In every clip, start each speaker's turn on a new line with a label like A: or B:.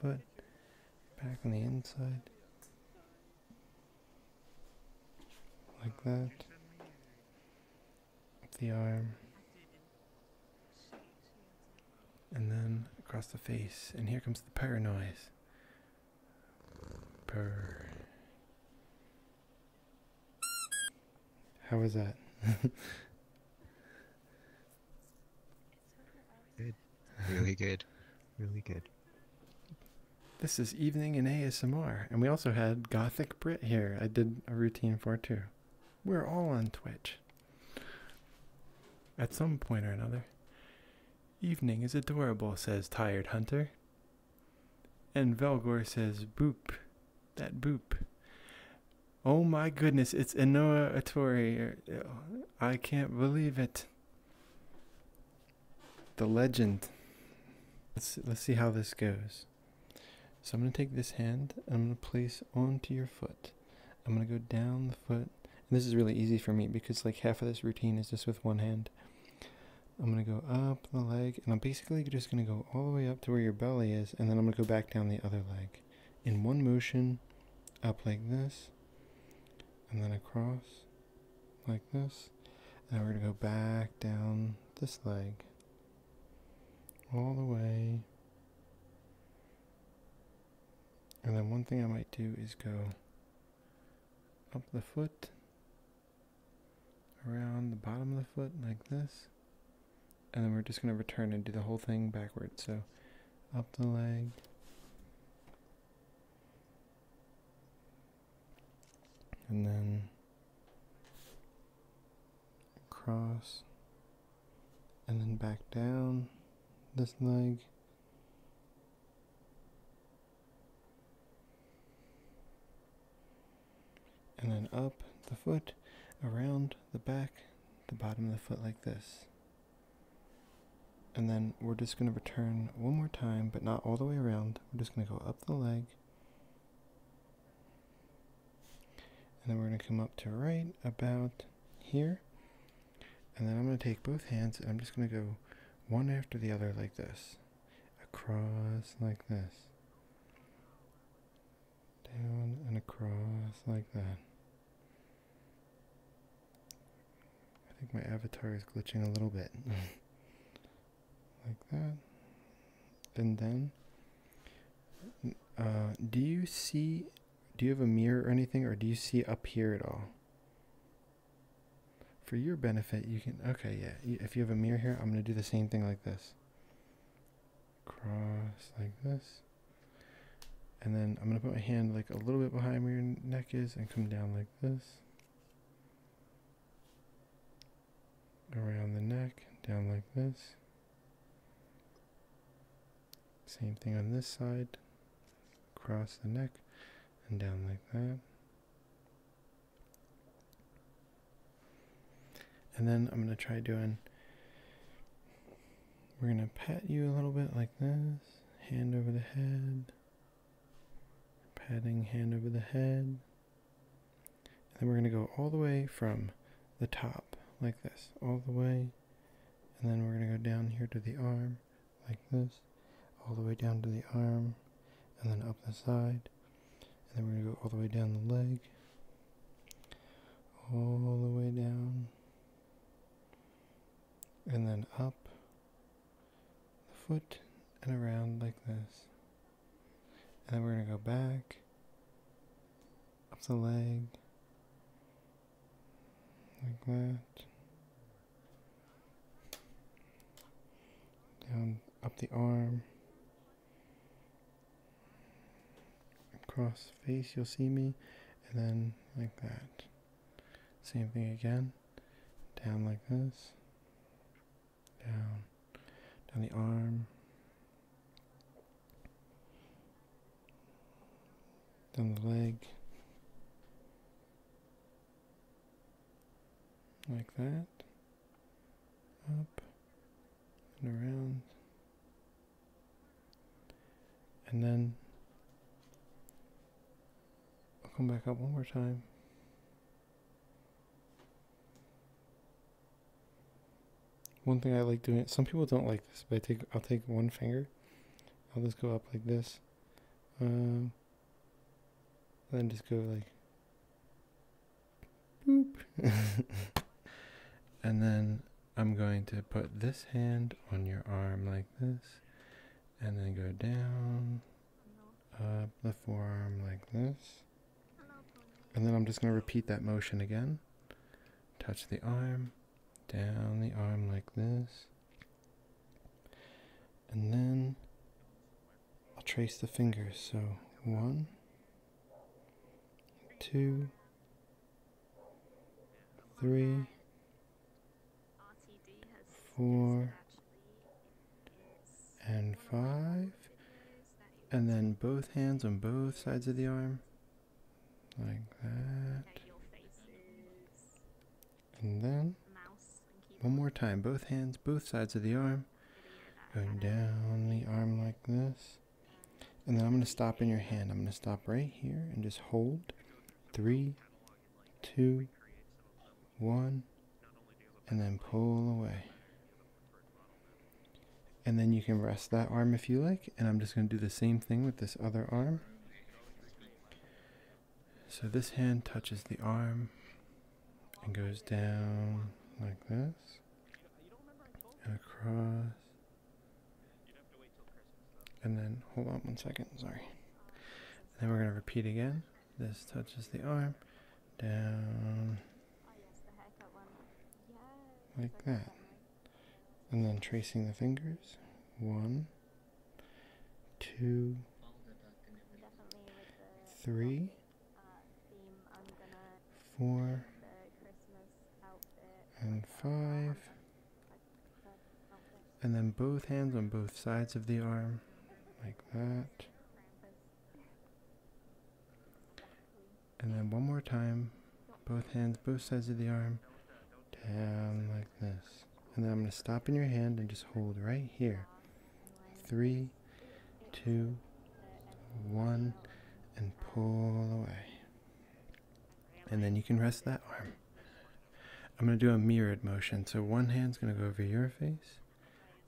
A: foot back on the inside like that up the arm and then across the face and here comes the purr noise purr how was that Good. Really good. Really good. This is Evening in ASMR, and we also had Gothic Brit here. I did a routine for too. We're all on Twitch. At some point or another. Evening is adorable, says Tired Hunter. And Velgor says, boop. That boop. Oh my goodness, it's Inoa Atori. I can't believe it. The legend. Let's let's see how this goes. So I'm gonna take this hand and I'm gonna place onto your foot. I'm gonna go down the foot. And this is really easy for me because like half of this routine is just with one hand. I'm gonna go up the leg and I'm basically just gonna go all the way up to where your belly is and then I'm gonna go back down the other leg. In one motion, up like this, and then across like this. And we're going to go back down this leg all the way. And then one thing I might do is go up the foot, around the bottom of the foot like this. And then we're just going to return and do the whole thing backwards. So up the leg. And then across, and then back down this leg. And then up the foot, around the back, the bottom of the foot like this. And then we're just going to return one more time, but not all the way around. We're just going to go up the leg. And then we're going to come up to right about here. And then I'm going to take both hands and I'm just going to go one after the other like this. Across like this. Down and across like that. I think my avatar is glitching a little bit. like that. And then, uh, do you see, do you have a mirror or anything, or do you see up here at all? For your benefit, you can, okay, yeah. If you have a mirror here, I'm going to do the same thing like this. Cross like this. And then I'm going to put my hand like a little bit behind where your neck is and come down like this. Around the neck, down like this. Same thing on this side. Across the neck and down like that. And then I'm going to try doing we're going to pat you a little bit like this. Hand over the head. Patting hand over the head. And then we're going to go all the way from the top like this. All the way. And then we're going to go down here to the arm like this. All the way down to the arm. And then up the side. And then we're going to go all the way down the leg. All the way down and then up the foot and around like this. And then we're going to go back up the leg like that. Down up the arm. Across face, you'll see me, and then like that. Same thing again. Down like this. Down. Down the arm. Down the leg. Like that. Up and around. And then I'll come back up one more time. One thing I like doing, some people don't like this, but I take, I'll take one finger. I'll just go up like this. Um, then just go like, boop. and then I'm going to put this hand on your arm like this, and then go down, up the forearm like this. And then I'm just going to repeat that motion again. Touch the arm, down the arm like this. And then I'll trace the fingers. So one, two, three, four and five and then both hands on both sides of the arm like that and then one more time both hands both sides of the arm going down the arm like this and then I'm going to stop in your hand I'm going to stop right here and just hold three, two, one, and then pull away. And then you can rest that arm if you like. And I'm just going to do the same thing with this other arm. So this hand touches the arm and goes down like this across and then, hold on one second, sorry. then we're going to repeat again. This touches the arm, down, like that. And then tracing the fingers, one, two, three, four, and five. And then both hands on both sides of the arm, like that. And then one more time, both hands, both sides of the arm, down like this. And then I'm going to stop in your hand and just hold right here. Three, two, one, and pull away. And then you can rest that arm. I'm going to do a mirrored motion. So one hand's going to go over your face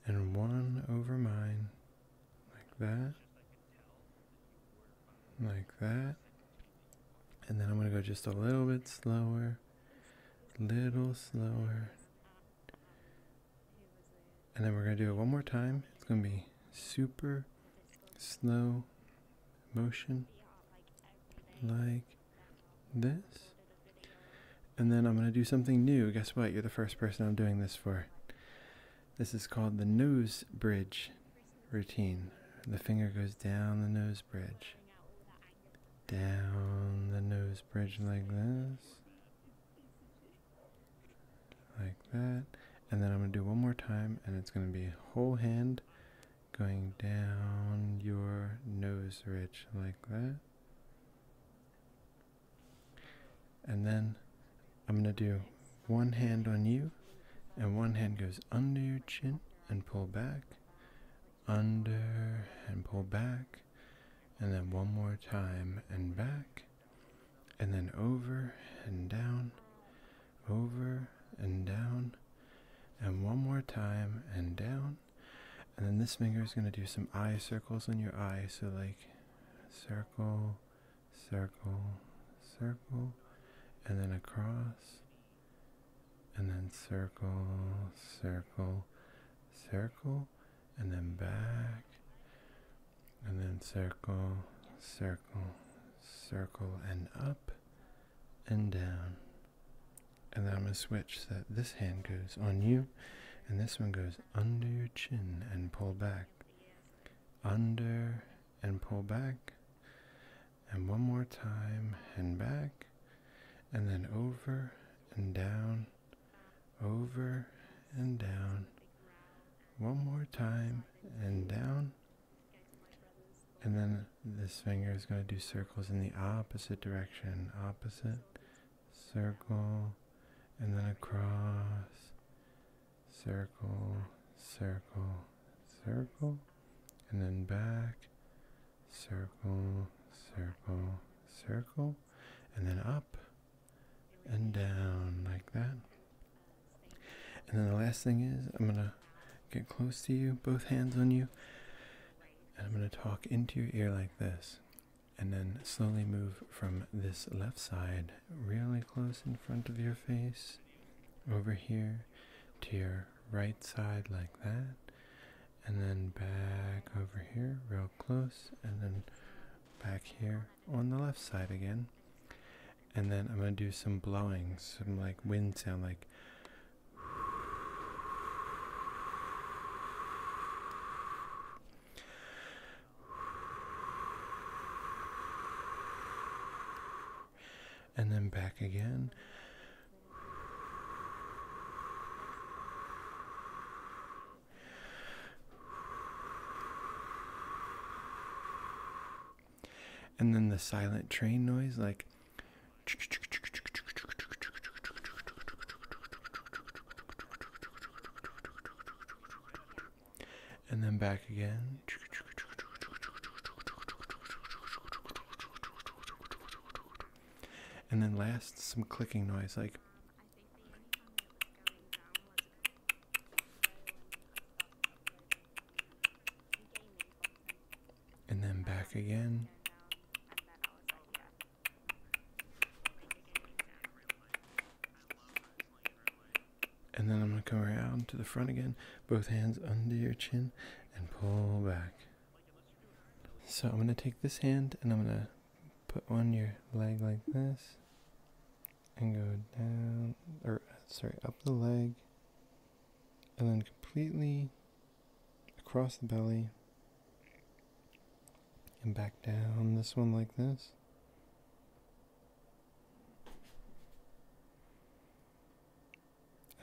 A: and one over mine. Like that. Like that. And then I'm going to go just a little bit slower. Little slower. And then we're going to do it one more time. It's going to be super slow motion. Like this. And then I'm going to do something new. Guess what? You're the first person I'm doing this for. This is called the nose bridge routine. The finger goes down the nose bridge. Down the nose bridge like this. Like that. And then I'm going to do one more time, and it's going to be whole hand going down your nose ridge like that. And then I'm going to do one hand on you, and one hand goes under your chin and pull back, under and pull back, and then one more time and back, and then over and down, over and down, and one more time and down. And then this finger is going to do some eye circles on your eye. So, like circle, circle, circle, and then across, and then circle, circle, circle, and then back, and then circle, circle, circle, and up and down. And then I'm going to switch so that this hand goes on you and this one goes under your chin and pull back. Under and pull back. And one more time and back. And then over and down. Over and down. One more time and down. And then this finger is going to do circles in the opposite direction. Opposite, circle, and then across, circle, circle, circle, and then back, circle, circle, circle, and then up and down like that. And then the last thing is I'm going to get close to you, both hands on you, and I'm going to talk into your ear like this. And then slowly move from this left side, really close in front of your face, over here to your right side, like that. And then back over here, real close. And then back here on the left side again. And then I'm going to do some blowing, some like wind sound, like and then back again. And then the silent train noise, like and then back again. And then last, some clicking noise like and then back again. And then I'm going to come around to the front again, both hands under your chin, and pull back. So I'm going to take this hand and I'm going to put on your leg like this, and go down, or sorry, up the leg, and then completely across the belly and back down this one like this.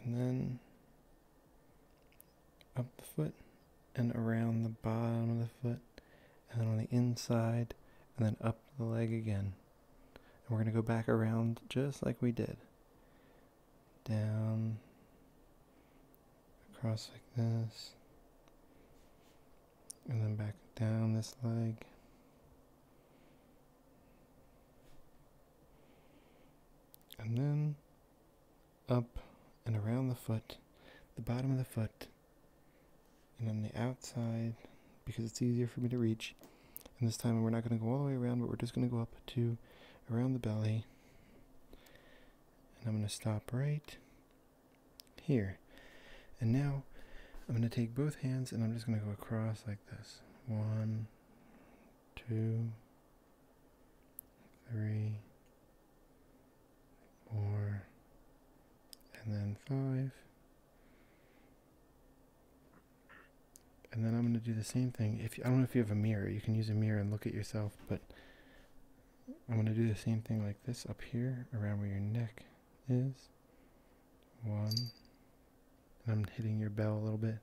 A: And then up the foot and around the bottom of the foot and then on the inside and then up the leg again. And we're going to go back around just like we did down, across like this, and then back down this leg. And then up and around the foot, the bottom of the foot, and on the outside, because it's easier for me to reach, and this time we're not going to go all the way around, but we're just going to go up to around the belly. And I'm going to stop right here. And now I'm going to take both hands and I'm just going to go across like this. One, two, three, four, and then five, and then I'm going to do the same thing. If I don't know if you have a mirror, you can use a mirror and look at yourself, but I'm going to do the same thing like this up here around where your neck is. One. I'm hitting your bell a little bit.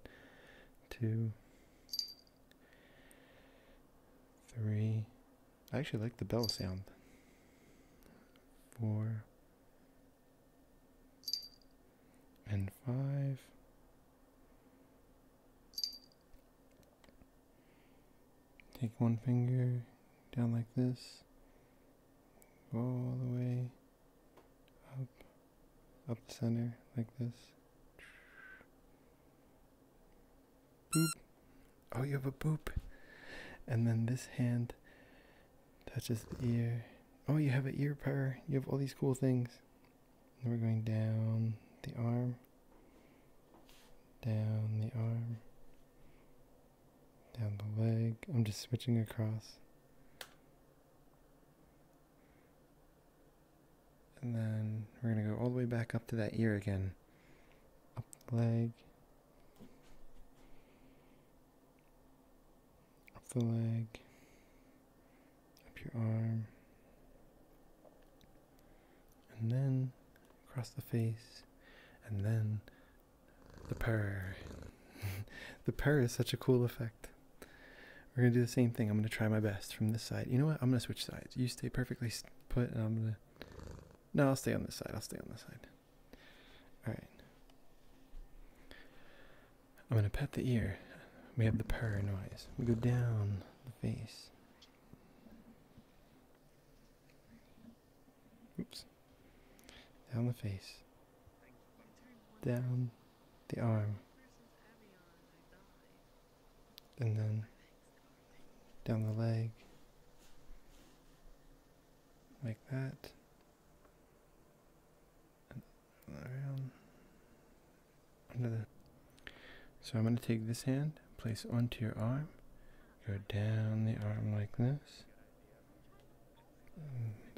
A: Two. Three. I actually like the bell sound. Four. And five. Take one finger down like this, all the way up, up the center like this. Boop. Oh, you have a boop. And then this hand touches the ear. Oh, you have an ear power. You have all these cool things. Then we're going down the arm, down the arm, down the leg. I'm just switching across. And then we're going to go all the way back up to that ear again. Up the leg up the leg, up your arm, and then across the face, and then the purr. the purr is such a cool effect. We're going to do the same thing. I'm going to try my best from this side. You know what? I'm going to switch sides. You stay perfectly put, and I'm going to. No, I'll stay on this side. I'll stay on this side. All right. I'm gonna pet the ear. We have the purr noise. We go down the face. Oops. Down the face. Down the arm. And then down the leg. Like that. So I'm going to take this hand, place onto your arm, go down the arm like this,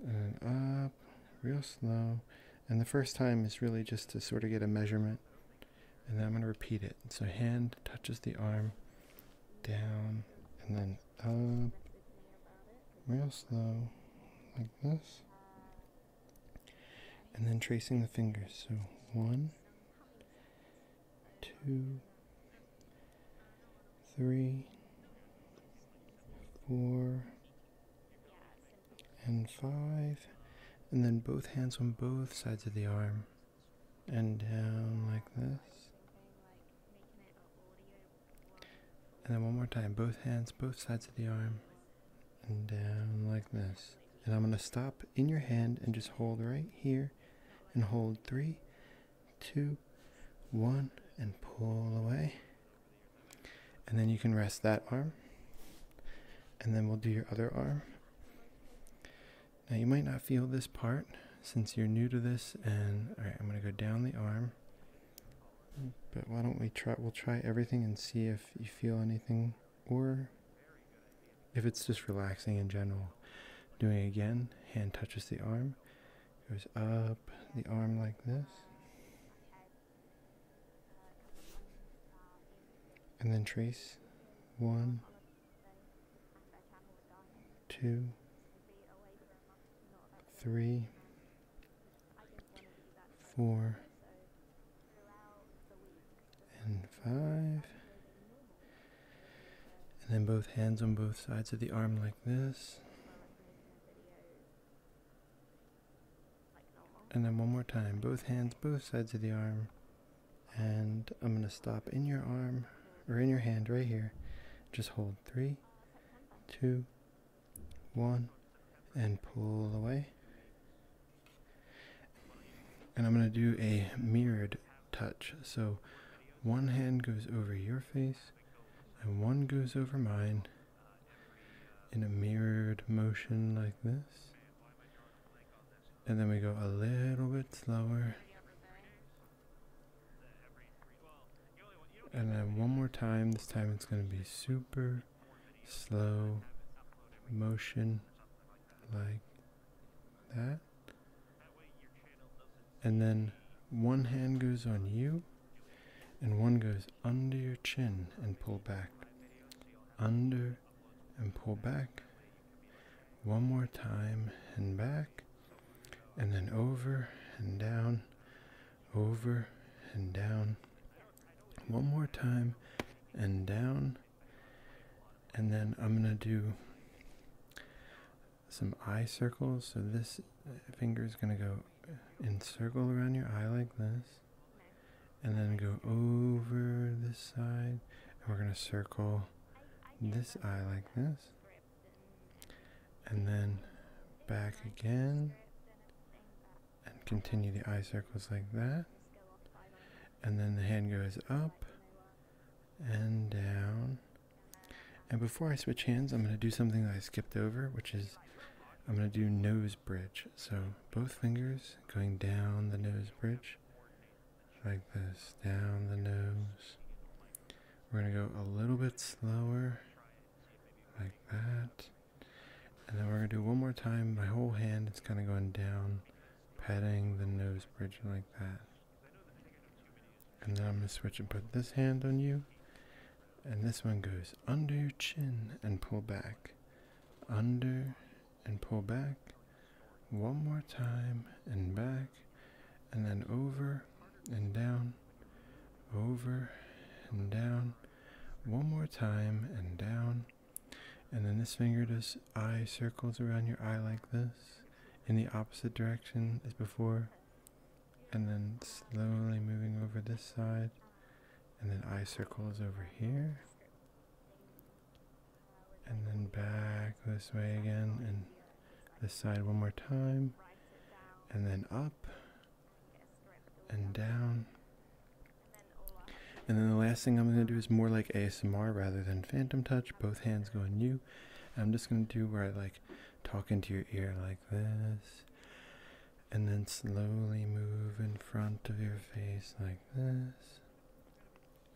A: and up, real slow. And the first time is really just to sort of get a measurement. And then I'm going to repeat it. So hand touches the arm, down, and then up, real slow, like this and then tracing the fingers. So one, two, three, four, and five, and then both hands on both sides of the arm and down like this. And then one more time, both hands, both sides of the arm and down like this. And I'm going to stop in your hand and just hold right here and hold three, two, one, and pull away. And then you can rest that arm. And then we'll do your other arm. Now you might not feel this part since you're new to this and all right, I'm going to go down the arm but why don't we try? We'll try everything and see if you feel anything or if it's just relaxing in general. Doing it again, hand touches the arm, goes up the arm like this. And then trace one, two, three, four, and five. And then both hands on both sides of the arm like this. And then one more time, both hands, both sides of the arm. And I'm going to stop in your arm, or in your hand right here. Just hold three, two, one, and pull away. And I'm going to do a mirrored touch. So one hand goes over your face, and one goes over mine in a mirrored motion like this. And then we go a little bit slower. And then one more time. This time it's going to be super slow motion like that. And then one hand goes on you and one goes under your chin and pull back. Under and pull back. One more time and back. And then over and down, over and down one more time and down and then I'm gonna do some eye circles so this finger is gonna go in circle around your eye like this and then go over this side and we're gonna circle this eye like this and then back again and continue the eye circles like that. And then the hand goes up and down. And before I switch hands, I'm going to do something that I skipped over, which is I'm going to do nose bridge. So both fingers going down the nose bridge, like this, down the nose. We're going to go a little bit slower like that. And then we're going to do one more time. My whole hand its kind of going down, patting the nose bridge like that. And then I'm going to switch and put this hand on you. And this one goes under your chin and pull back. Under and pull back. One more time and back. And then over and down. Over and down. One more time and down. And then this finger does eye circles around your eye like this in the opposite direction as before. And then slowly moving over this side. And then eye circles over here. And then back this way again. And this side one more time. And then up and down. And then the last thing I'm going to do is more like ASMR rather than phantom touch. Both hands going on you. I'm just going to do where I like talk into your ear like this. And then slowly move in front of your face like this.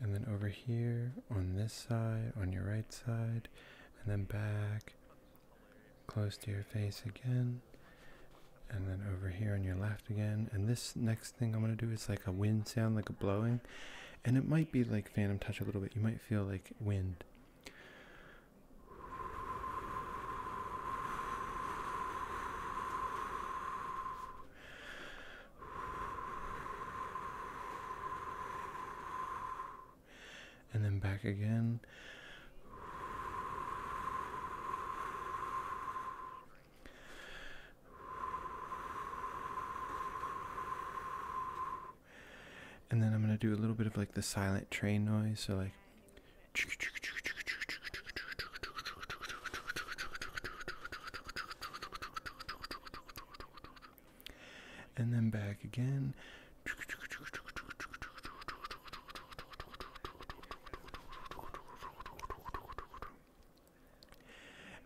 A: And then over here on this side, on your right side. And then back close to your face again and then over here on your left again and this next thing i'm going to do is like a wind sound like a blowing and it might be like phantom touch a little bit you might feel like wind and then back again and then I'm going to do a little bit of like the silent train noise. So, like. And then back again.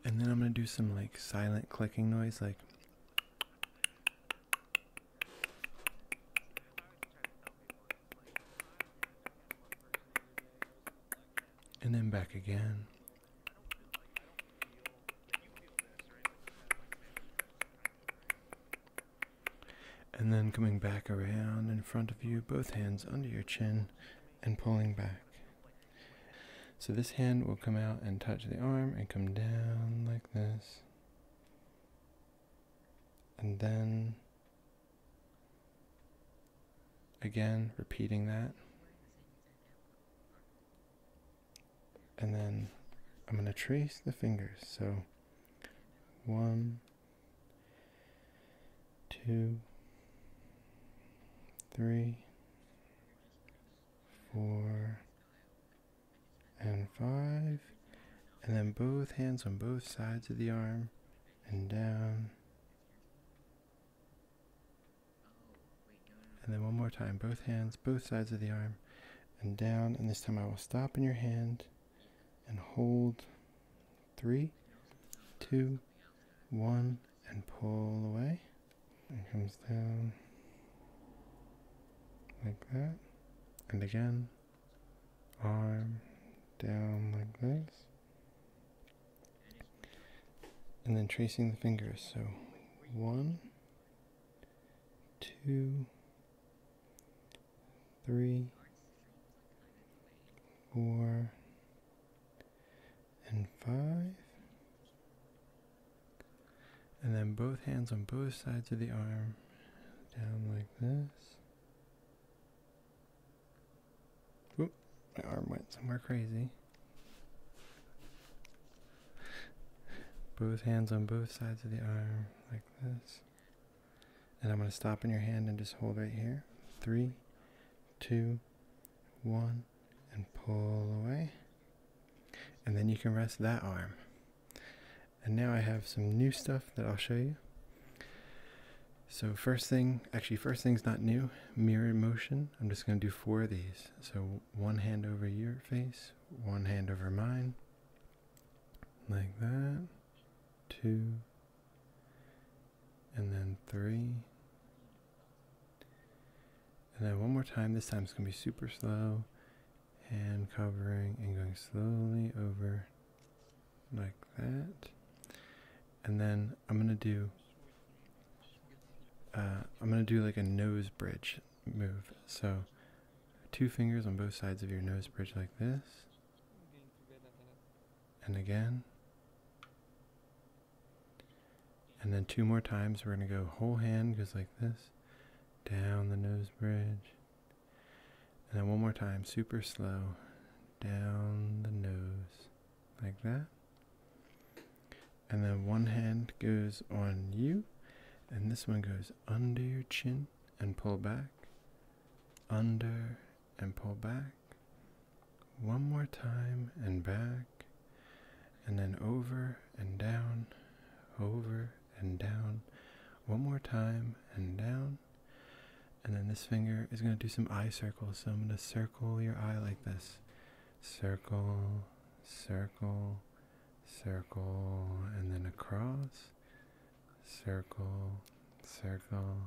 A: And then I'm going to do some like silent clicking noise like And then back again. And then coming back around in front of you, both hands under your chin and pulling back. So this hand will come out and touch the arm and come down like this. And then again, repeating that. And then I'm going to trace the fingers. So one two, three, four, and five. And then both hands on both sides of the arm and down. And then one more time, both hands, both sides of the arm and down. And this time I will stop in your hand and hold three, two, one, and pull away. It comes down like that. And again, arm down like this. And then tracing the fingers. So one, two, three, four, and five. And then both hands on both sides of the arm, down like this. Whoop, my arm went somewhere crazy. Both hands on both sides of the arm, like this. And I'm going to stop in your hand and just hold right here. Three, two, one, and pull away. And then you can rest that arm. And now I have some new stuff that I'll show you. So first thing, actually first thing's not new, mirror motion. I'm just gonna do four of these. So one hand over your face, one hand over mine, like that two, and then three. And then one more time. This time it's going to be super slow. and covering and going slowly over like that. And then I'm going to do, uh, I'm going to do like a nose bridge move. So two fingers on both sides of your nose bridge like this and again. And then two more times, we're going to go whole hand goes like this, down the nose bridge. And then one more time, super slow, down the nose, like that. And then one hand goes on you, and this one goes under your chin and pull back, under and pull back. One more time and back. And then over and down, over and down. One more time and down. And then this finger is going to do some eye circles. So I'm going to circle your eye like this. Circle, circle, circle, and then across, circle, circle,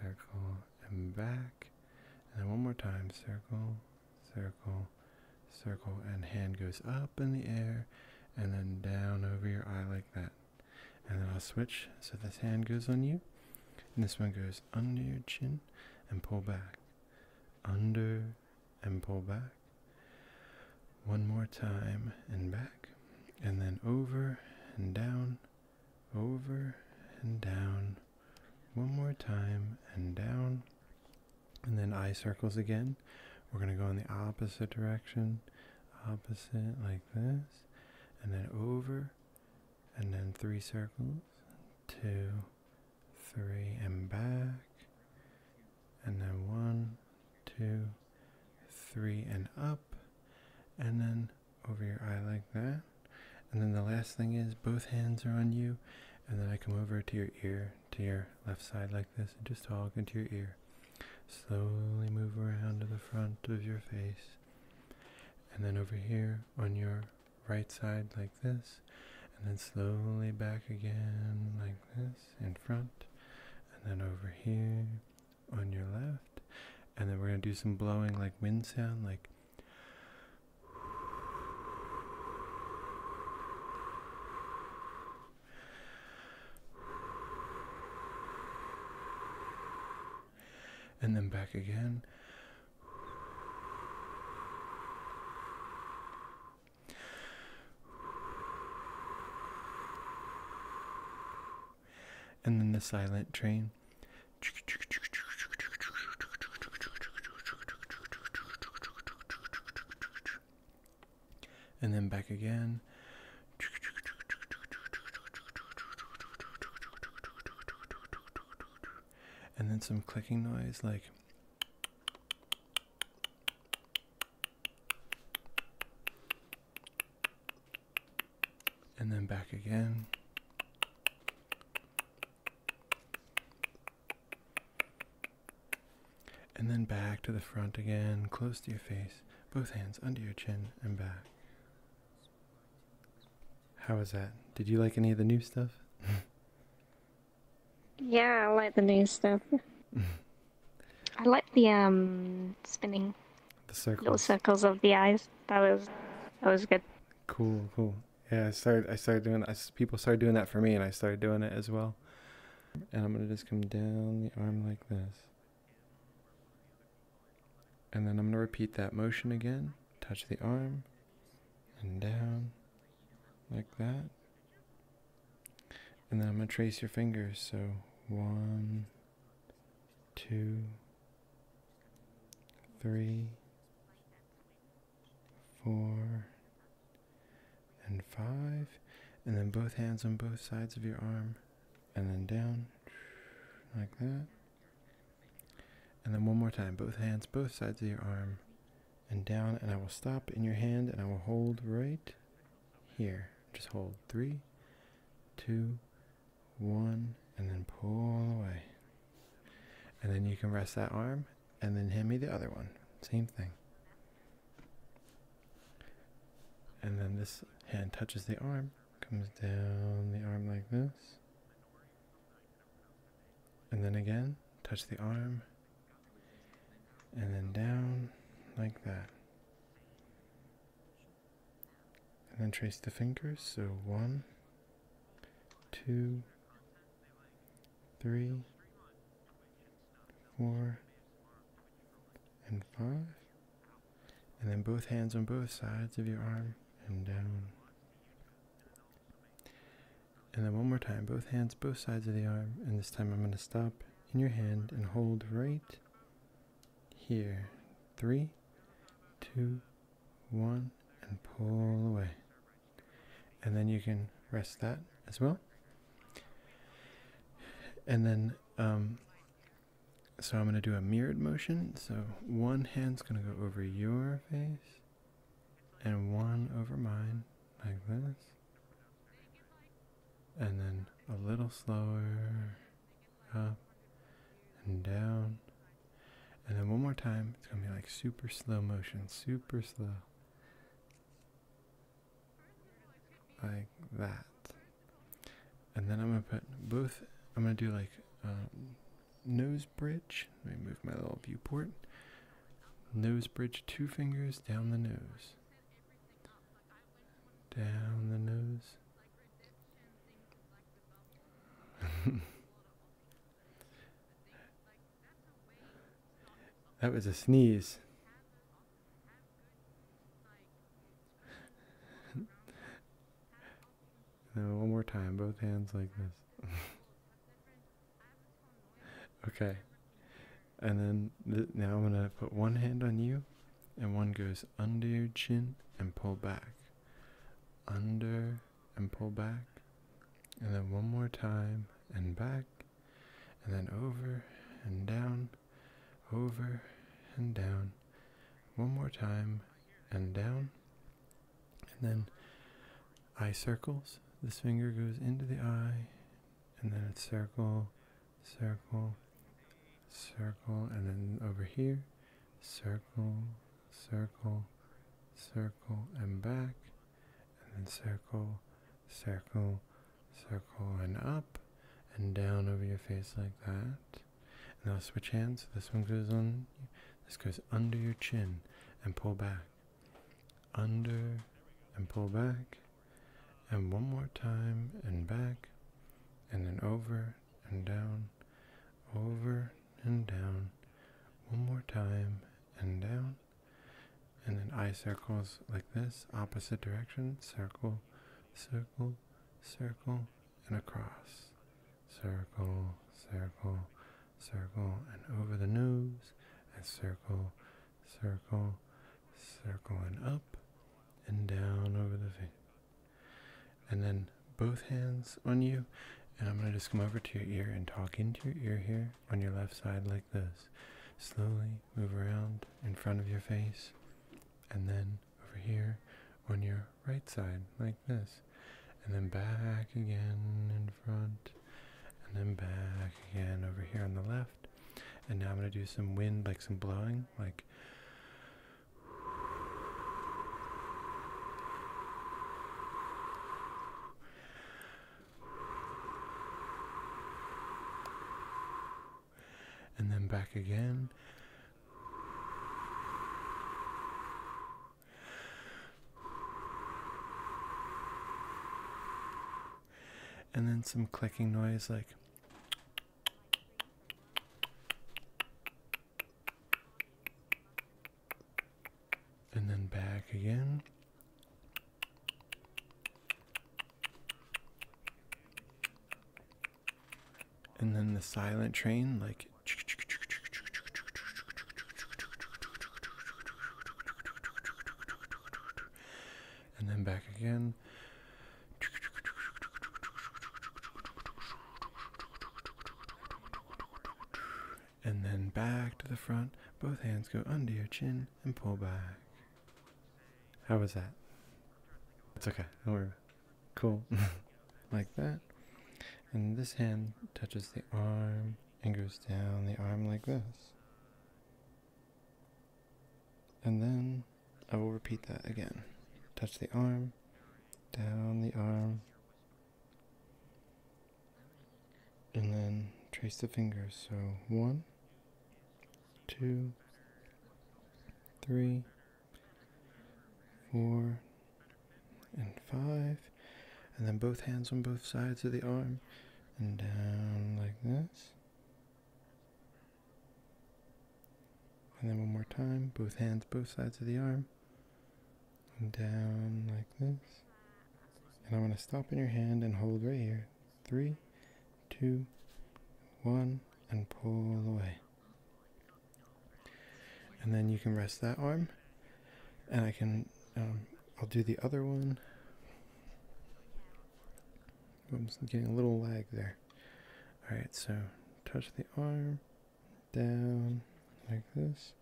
A: circle, and back. And then one more time, circle, circle, circle, and hand goes up in the air and then down over your eye like that. And then I'll switch so this hand goes on you, and this one goes under your chin and pull back, under and pull back. One more time and back, and then over and down over and down one more time and down and then eye circles again we're going to go in the opposite direction opposite like this and then over and then three circles two three and back and then one two three and up and then over your eye like that. And then the last thing is both hands are on you, and then I come over to your ear, to your left side like this, and just talk into your ear. Slowly move around to the front of your face. And then over here on your right side like this. And then slowly back again like this in front. And then over here on your left. And then we're going to do some blowing like wind sound, like. And then back again and then the silent train. And then back again. And then some clicking noise like and then back again. And then back to the front again, close to your face, both hands under your chin and back. How was that? Did you like any of the new stuff?
B: yeah, I like the new stuff. I like the um spinning. The circles. of the eyes. That was that was good.
A: Cool, cool. Yeah, I started I started doing I, people started doing that for me and I started doing it as well. And I'm gonna just come down the arm like this. And then I'm gonna repeat that motion again. Touch the arm and down like that. And then I'm gonna trace your fingers. So one two, three, four, and five. And then both hands on both sides of your arm. And then down, like that. And then one more time, both hands, both sides of your arm. And down, and I will stop in your hand, and I will hold right here. Just hold. Three, two, one, and then pull away. And then you can rest that arm and then hand me the other one. Same thing. And then this hand touches the arm, comes down the arm like this. And then again, touch the arm, and then down like that and then trace the fingers. So one, two, three, four, and five. And then both hands on both sides of your arm and down. And then one more time, both hands, both sides of the arm. And this time I'm going to stop in your hand and hold right here. Three, two, one, and pull away. And then you can rest that as well. And then, um, so I'm going to do a mirrored motion. So one hand's going to go over your face and one over mine, like this. And then a little slower up and down. And then one more time, it's going to be like super slow motion, super slow. Like that. And then I'm going to put both, I'm going to do like um, nose bridge. Let me move my little viewport. Nose bridge, two fingers down the nose down the nose. that was a sneeze. no, one more time, both hands like this. okay. And then now I'm going to put one hand on you and one goes under your chin and pull back. Under and pull back. And then one more time and back. And then over and down. Over and down. One more time and down. And then eye circles. This finger goes into the eye. And then it's circle, circle, circle, and then over here, circle, circle, circle, and back, and then circle, circle, circle, and up, and down over your face like that. And now switch hands. This one goes on, this goes under your chin, and pull back, under, and pull back, and one more time, and back, and then over, and down, over and down, one more time and down, and then eye circles like this, opposite direction, circle, circle, circle, and across, circle, circle, circle, and over the nose, and circle, circle, circle, and up, and down over the face, and then both hands on you and i'm going to just come over to your ear and talk into your ear here on your left side like this slowly move around in front of your face and then over here on your right side like this and then back again in front and then back again over here on the left and now i'm going to do some wind like some blowing like and then back again. And then some clicking noise like and then back again. And then the silent train, like. And then back again. And then back to the front. Both hands go under your chin and pull back. How was that? It's okay. Don't worry. Cool. like that. And this hand touches the arm and goes down the arm like this. And then I will repeat that again. Touch the arm, down the arm, and then trace the fingers. So one, two, three, four, and five. And then both hands on both sides of the arm, and down like this. And then one more time, both hands, both sides of the arm. And down like this. And I am going to stop in your hand and hold right here. Three, two, one, and pull away. And then you can rest that arm. And I can, um, I'll do the other one. I'm getting a little lag there. Alright, so touch the arm down like this.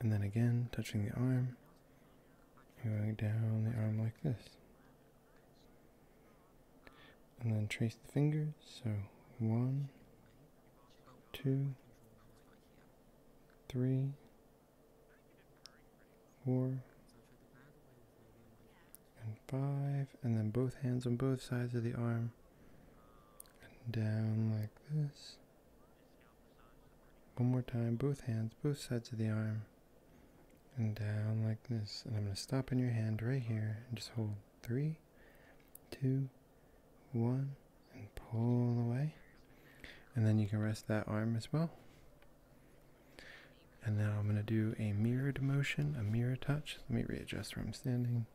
A: And then again, touching the arm, going down the arm like this. And then trace the fingers, so one, two, three, four, and five, and then both hands on both sides of the arm, and down like this. One more time, both hands, both sides of the arm, and down like this. And I'm going to stop in your hand right here and just hold three, two, one, and pull away. And then you can rest that arm as well. And now I'm going to do a mirrored motion, a mirror touch. Let me readjust where I'm standing.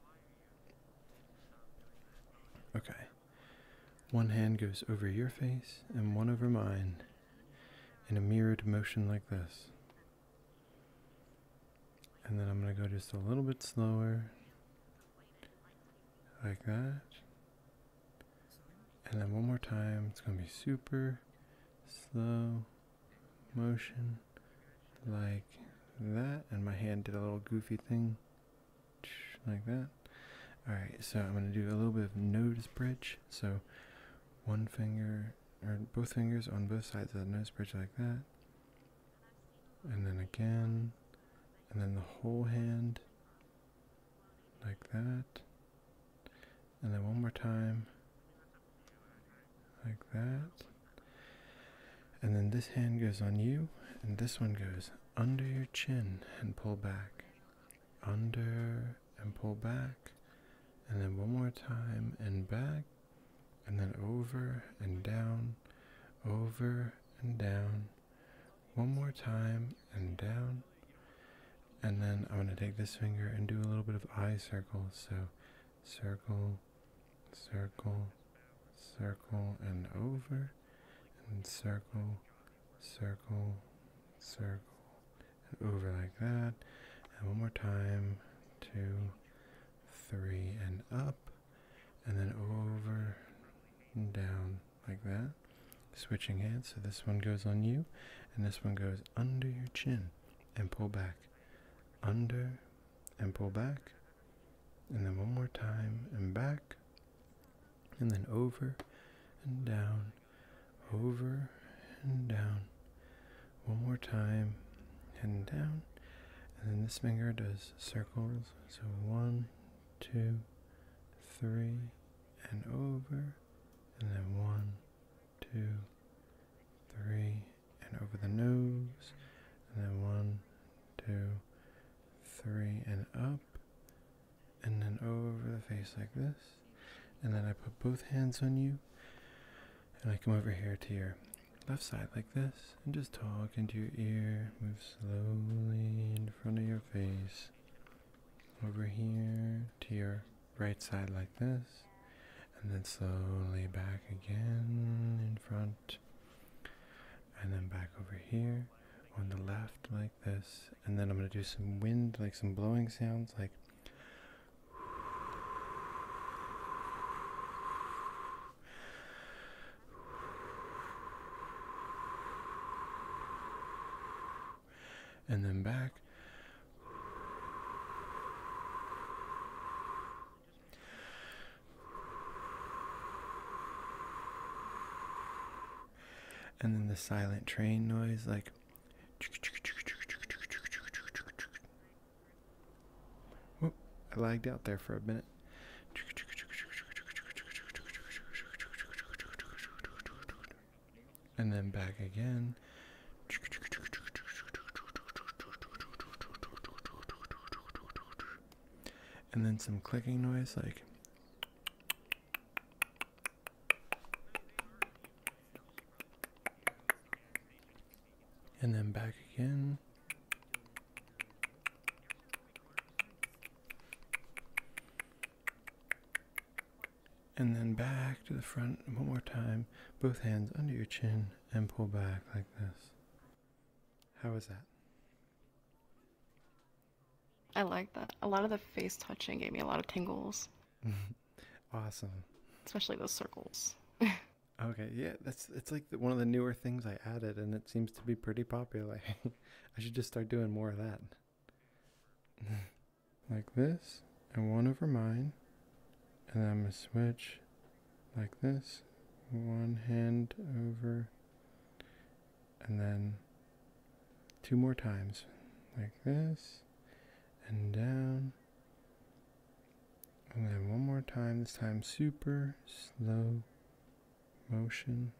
A: Okay. One hand goes over your face and one over mine in a mirrored motion like this. And then I'm going to go just a little bit slower, like that. And then one more time, it's going to be super slow motion like that, and my hand did a little goofy thing like that. Alright, so I'm going to do a little bit of nose bridge. So one finger, or both fingers on both sides of the nose bridge like that. And then again, and then the whole hand like that and then one more time like that and then this hand goes on you and this one goes under your chin and pull back under and pull back and then one more time and back and then over and down over and down one more time and down and then I'm going to take this finger and do a little bit of eye circles so circle, circle, circle, and over, and circle, circle, circle, and over like that. And one more time, two, three, and up, and then over and down like that. Switching hands, so this one goes on you, and this one goes under your chin, and pull back under, and pull back, and then one more time, and back, and then over and down, over and down, one more time, and down, and then this finger does circles, so one, two, three, and over, and then one, two, three, and over the nose, and then one, two, three, and up, and then over the face like this, and then I put both hands on you, and I come over here to your left side like this, and just talk into your ear, move slowly in front of your face, over here to your right side like this, and then slowly back again in front, and then back over here on the left like this, and then I'm gonna do some wind, like some blowing sounds, like. And then back and then the silent train noise, like. I lagged out there for a minute. And then back again. And then some clicking noise like and then back again. And then back to the front one more time both hands under your chin and pull back like this. How was that?
B: I like that. A lot of the face touching gave me a lot of tingles.
A: awesome.
B: Especially those circles.
A: okay, yeah, that's it's like one of the newer things I added, and it seems to be pretty popular. I should just start doing more of that. like this and one over mine. And then I'm going to switch like this. One hand over. And then two more times. Like this. And down. And one more time. This time super slow motion.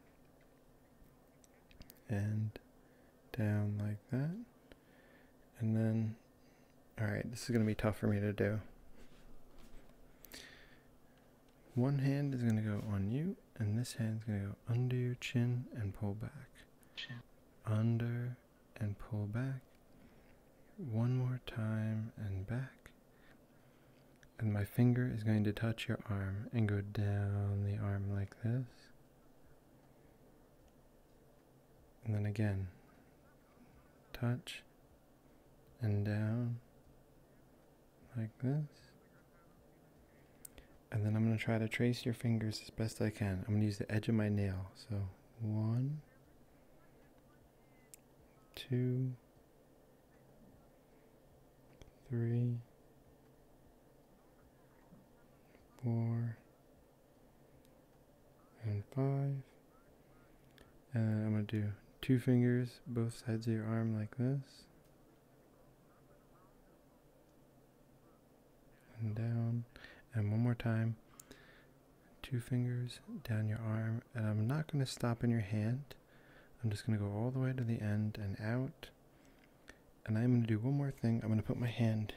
A: And down like that and then all right this is going to be tough for me to do one hand is going to go on you and this hand is going to go under your chin and pull back under and pull back one more time and back and my finger is going to touch your arm and go down the arm like this and then again, touch and down like this. And then I'm going to try to trace your fingers as best I can. I'm going to use the edge of my nail. So one, two, three, four, and five. And I'm going to do two fingers, both sides of your arm like this. And down. And one more time. Two fingers down your arm. And I'm not going to stop in your hand. I'm just going to go all the way to the end and out. And I'm going to do one more thing. I'm going to put my hand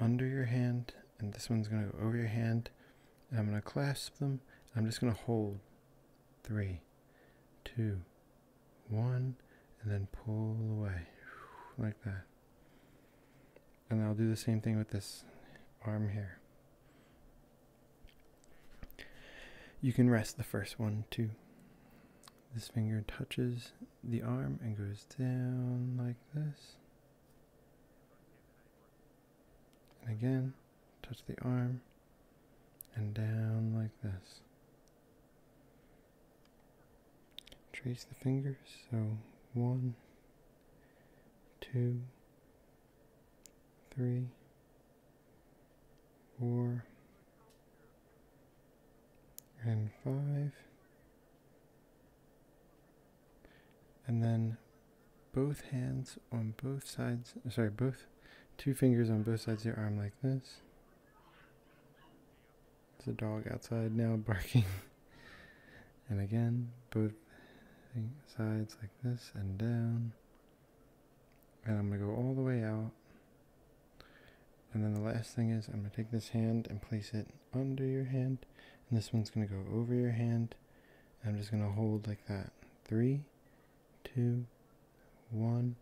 A: under your hand, and this one's going to go over your hand. And I'm going to clasp them. I'm just going to hold three, two, one, and then pull away like that. And I'll do the same thing with this arm here. You can rest the first one too. This finger touches the arm and goes down like this. And again, touch the arm and down like this. Trace the fingers, so one, two, three, four, and five and then both hands on both sides, sorry, both two fingers on both sides of your arm like this. There's a dog outside now barking. and again, both sides like this and down. And I'm going to go all the way out. And then the last thing is I'm going to take this hand and place it under your hand, and this one's going to go over your hand. I'm just going to hold like that. Three, two, one,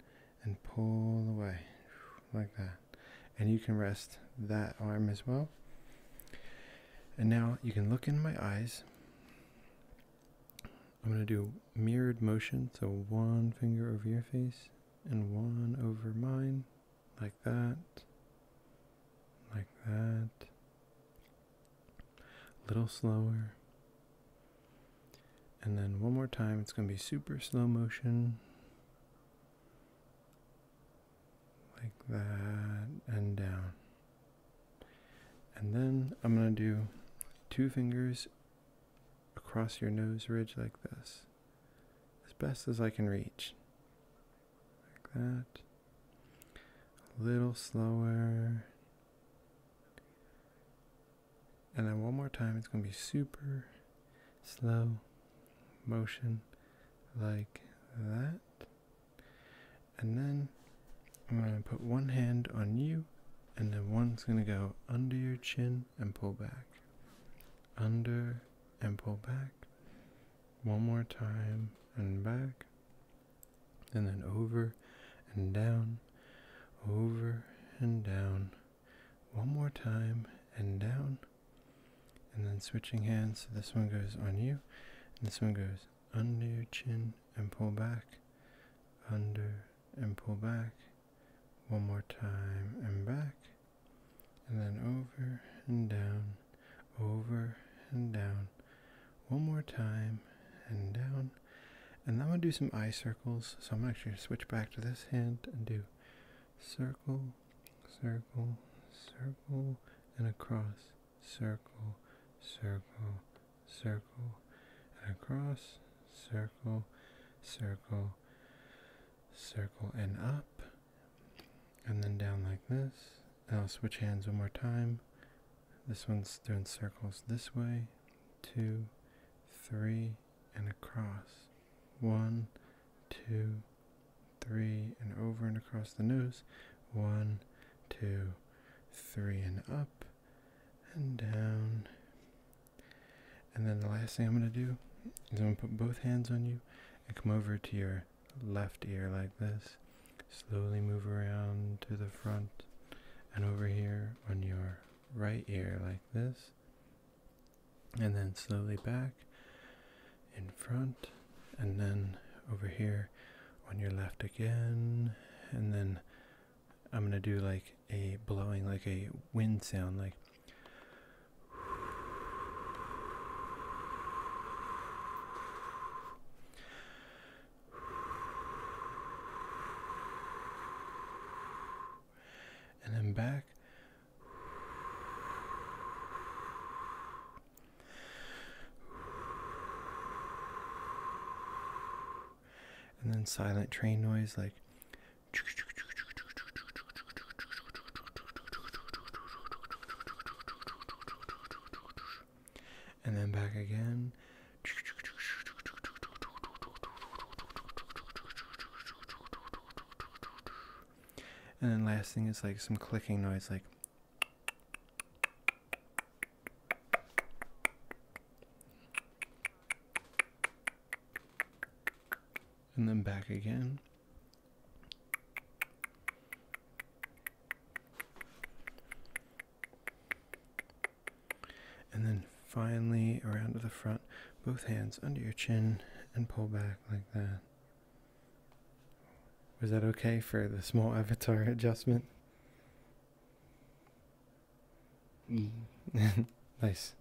A: and pull away like that. And you can rest that arm as well. And now you can look in my eyes. I'm going to do mirrored motion, so one finger over your face and one over mine like that, like that, a little slower. And then one more time, it's going to be super slow motion. Like that, and down. And then I'm going to do two fingers across your nose ridge like this, as best as I can reach like that. A little slower. And then one more time, it's going to be super slow motion like that. And then I'm going to put one hand on you, and then one's going to go under your chin and pull back. Under and pull back one more time and back, and then over and down, over and down, one more time and down, and then switching hands. So this one goes on you, and this one goes under your chin and pull back, under and pull back, one more time and back and then over and down, over and down, one more time and down. And then I'm going to do some eye circles. So I'm going to actually switch back to this hand and do circle, circle, circle, and across, circle, circle, circle, and across, circle, circle, circle, and up and then down like this. I'll switch hands one more time. This one's doing circles this way, two, three, and across. One, two, three, and over and across the nose. One, two, three, and up, and down. And then the last thing I'm going to do is I'm going to put both hands on you and come over to your left ear like this. Slowly move around to the front and over here on your right ear like this. And then slowly back in front and then over here on your left again. And then I'm going to do like a blowing, like a wind sound, like and then back. And then silent train noise like and then back again. And then last thing is like some clicking noise like and then back again. And then finally around to the front, both hands under your chin and pull back like that. Was that okay for the small avatar adjustment? Mm. nice.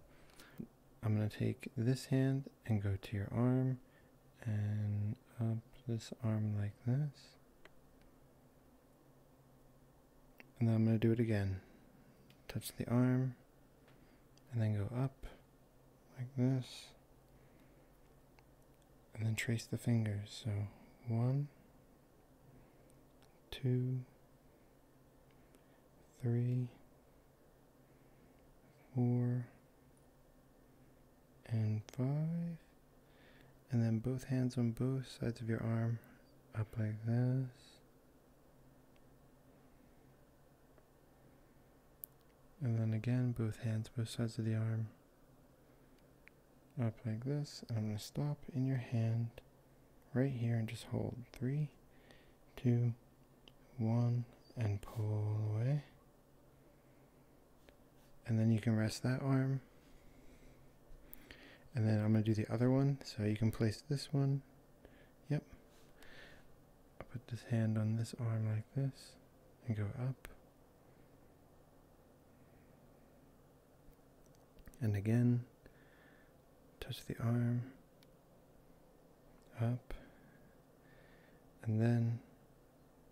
A: I'm going to take this hand and go to your arm and up this arm like this. And then I'm going to do it again. Touch the arm and then go up like this. And then trace the fingers. So one, two, three, four, and five. And then both hands on both sides of your arm, up like this. And then again, both hands, both sides of the arm, up like this. And I'm going to stop in your hand right here and just hold. Three, two, one, and pull away and then you can rest that arm and then I'm going to do the other one so you can place this one yep I'll put this hand on this arm like this and go up and again touch the arm up and then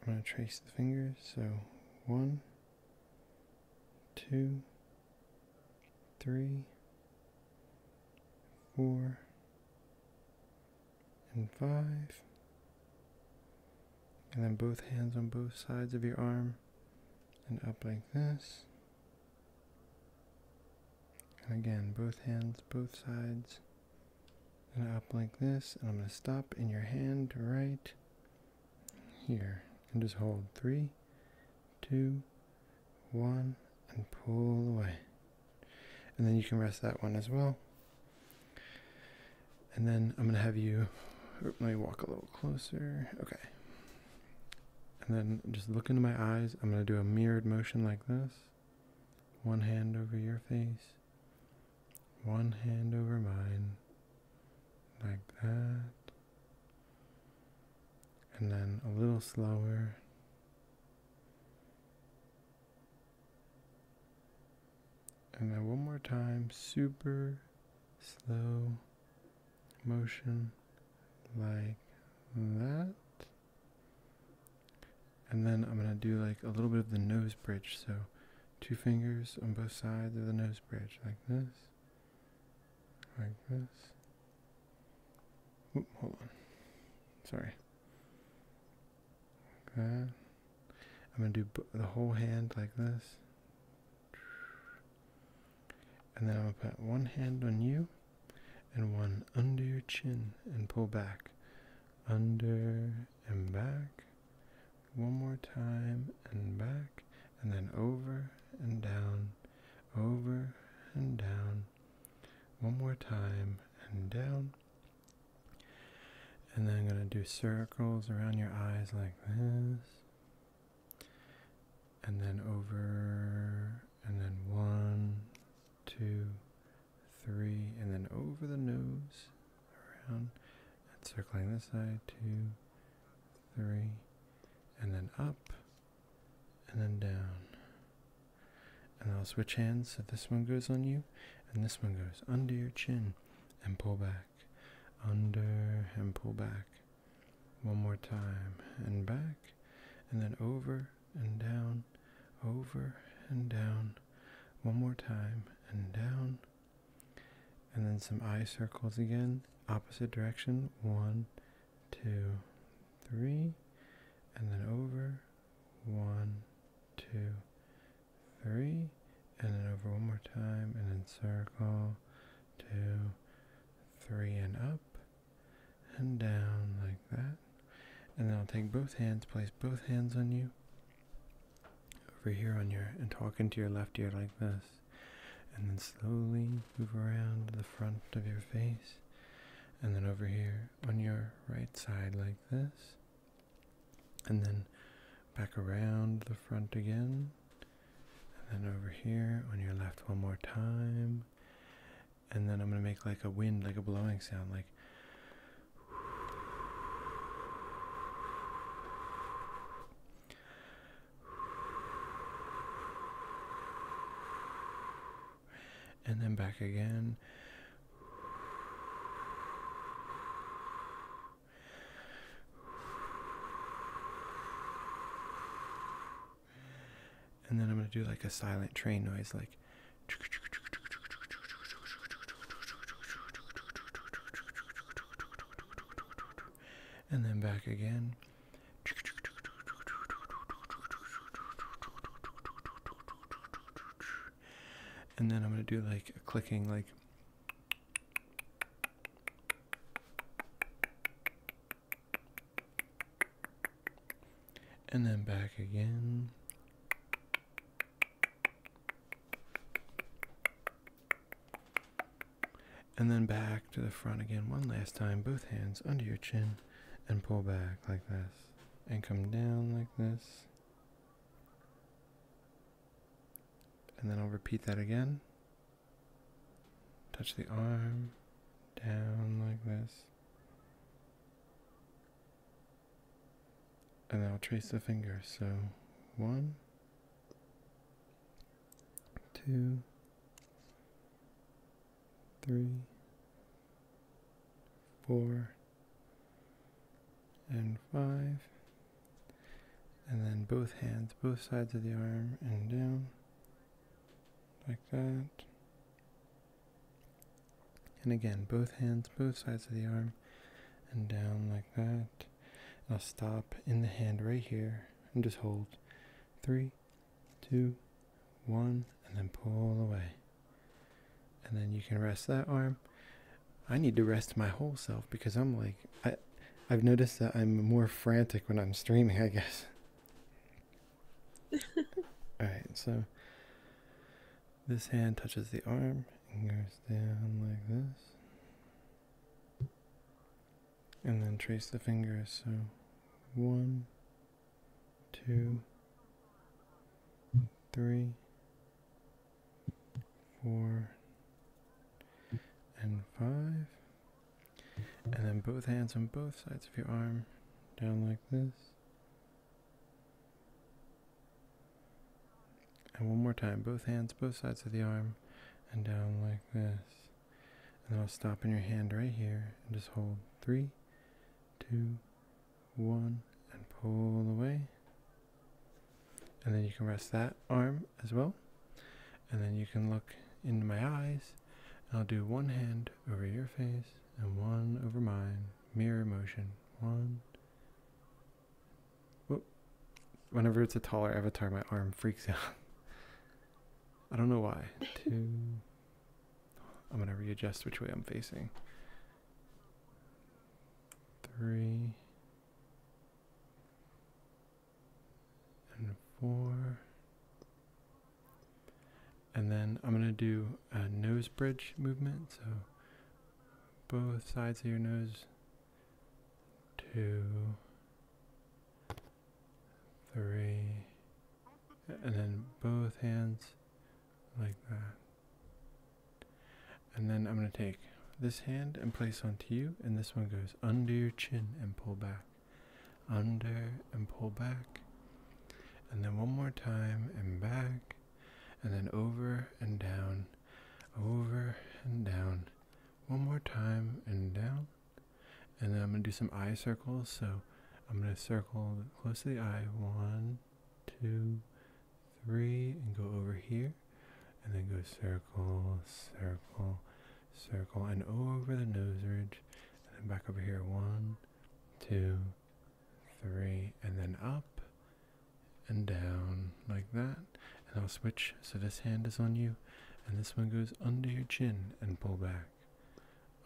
A: I'm going to trace the fingers. So one, two, three, four, and five. And then both hands on both sides of your arm and up like this. again, both hands, both sides and up like this, and I'm going to stop in your hand right here, and just hold three, two, one, and pull away. And then you can rest that one as well. And then I'm going to have you, let me walk a little closer. Okay. And then just look into my eyes. I'm going to do a mirrored motion like this. One hand over your face, one hand over mine, like that. And then a little slower. And then one more time, super slow motion like that. And then I'm going to do like a little bit of the nose bridge. So two fingers on both sides of the nose bridge like this. Like this. hold on. Sorry. Like that. I'm going to do the whole hand like this. And then I'm going to put one hand on you and one under your chin and pull back. Under and back, one more time and back, and then over and down, over and down, one more time and down. And then I'm going to do circles around your eyes like this. And then over, and then one, two, three, and then over the nose, around, and circling this side, two, three, and then up, and then down. And I'll switch hands, so this one goes on you, and this one goes under your chin, and pull back, under, and pull back. One more time, and back, and then over, and down, over, and down, one more time, and down, and then some eye circles again, opposite direction, one, two, three, and then over, one, two, three, and then over one more time, and then circle, two, three, and up, and down like that. And then I'll take both hands, place both hands on you, over here on your and talk into your left ear like this and then slowly move around the front of your face and then over here on your right side like this and then back around the front again and then over here on your left one more time and then I'm gonna make like a wind like a blowing sound like and then back again. And then I'm going to do like a silent train noise, like and then back again. And then I'm going to do like a clicking, like. And then back again. And then back to the front again one last time, both hands under your chin and pull back like this. And come down like this. And then I'll repeat that again. Touch the arm, down like this and I'll trace the fingers. So one, two, three, four, and five, and then both hands, both sides of the arm, and down like that. And again, both hands, both sides of the arm, and down like that. And I'll stop in the hand right here and just hold. Three, two, one, and then pull away. And then you can rest that arm. I need to rest my whole self because I'm like, I, I've noticed that I'm more frantic when I'm streaming, I guess. Alright, so this hand touches the arm, Fingers down like this. And then trace the fingers. So one, two, three, four, and five. And then both hands on both sides of your arm, down like this. And one more time, both hands, both sides of the arm, and down like this. And then I'll stop in your hand right here and just hold three, two, one, and pull away. And then you can rest that arm as well. And then you can look into my eyes. I'll do one hand over your face and one over mine. Mirror motion. One, Whenever it's a taller avatar, my arm freaks out. I don't know why. Two. I'm gonna readjust which way I'm facing. Three. And four. And then I'm gonna do a nose bridge movement. So both sides of your nose. Two, three, and then both hands like that. And then I'm going to take this hand and place onto you, and this one goes under your chin and pull back, under and pull back, and then one more time and back, and then over and down over and down. One more time and down. And then I'm going to do some eye circles. So I'm going to circle close to the eye. One, two, three. And go over here. And then go circle, circle, circle. And over the nose ridge. And then back over here. One, two, three, and then up and down like that. And I'll switch so this hand is on you, and this one goes under your chin and pull back,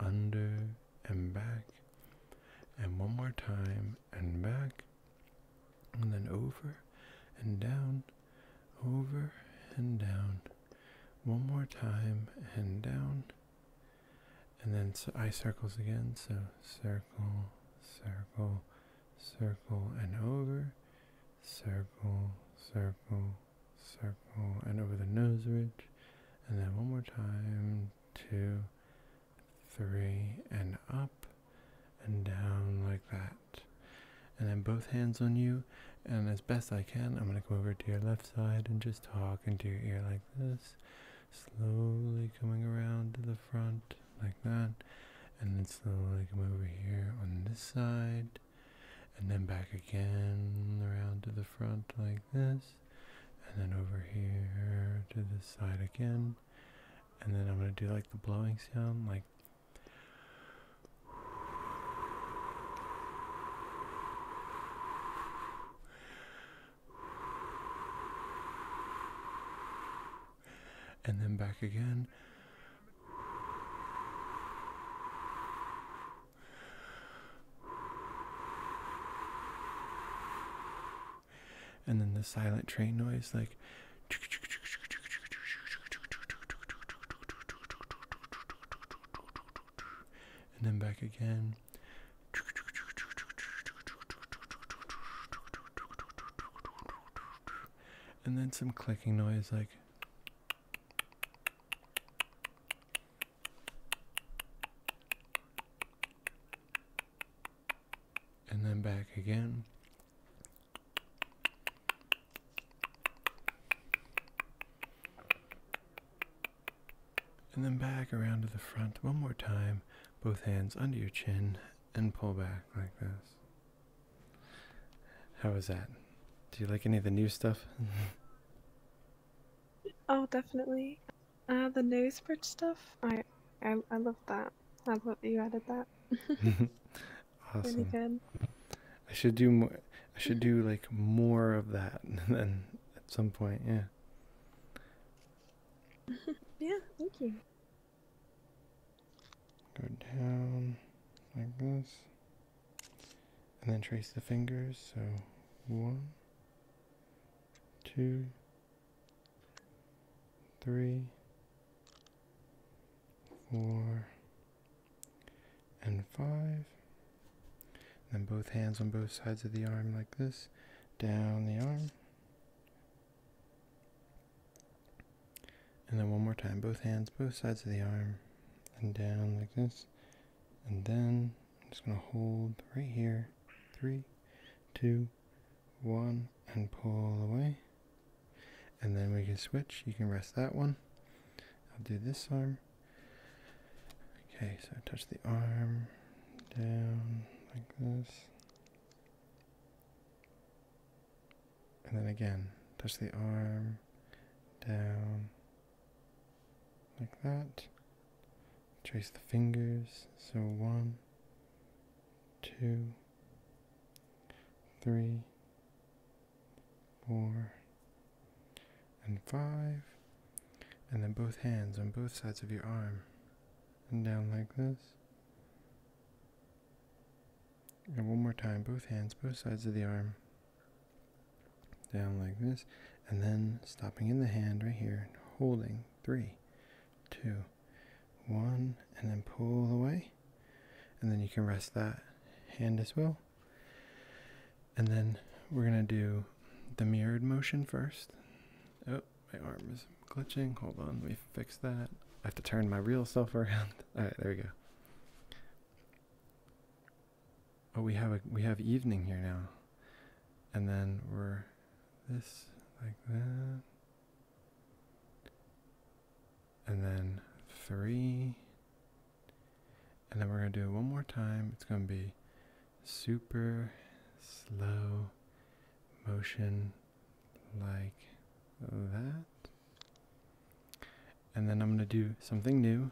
A: under and back, and one more time and back, and then over and down, over and down, one more time and down. And then so eye circles again, so circle, circle, circle and over, circle, circle, circle, and over the nose ridge. And then one more time, two, three, and up and down like that. And then both hands on you, and as best I can, I'm going to come over to your left side and just talk into your ear like this slowly coming around to the front like that and then slowly come over here on this side and then back again around to the front like this and then over here to this side again and then I'm going to do like the blowing sound like and then back again. And then the silent train noise, like. And then back again and then some clicking noise like and then back again and then back around to the front one more time both hands under your chin and pull back like this. How was that? Do you like any of the new stuff?
B: oh, definitely. Uh, the nose bridge stuff. I, I, I love that. I love that you added that.
A: awesome. I should do more. I should do like more of that. Then at some point, yeah.
B: yeah. Thank you.
A: Go down like this. And then trace the fingers. So one, two, three, four, and five. then both hands on both sides of the arm like this. Down the arm. And then one more time, both hands, both sides of the arm, and down like this. And then I'm just going to hold right here. Three, two, one, and pull away. And then we can switch. You can rest that one. I'll do this arm. Okay, so touch the arm down like this. And then again, touch the arm down like that. Trace the fingers. So one, two, three, four, and five. And then both hands on both sides of your arm. And down like this. And one more time, both hands, both sides of the arm. Down like this. And then stopping in the hand right here, holding. Three, two, one. And then pull away. And then you can rest that hand as well. And then we're going to do the mirrored motion first. Oh, my arm is glitching. Hold on, let me fix that. I have to turn my real self around. All right, there we go. Oh, we have a we have evening here now, and then we're this like that, and then three, and then we're gonna do it one more time. It's gonna be super slow motion like that. And then I'm going to do something new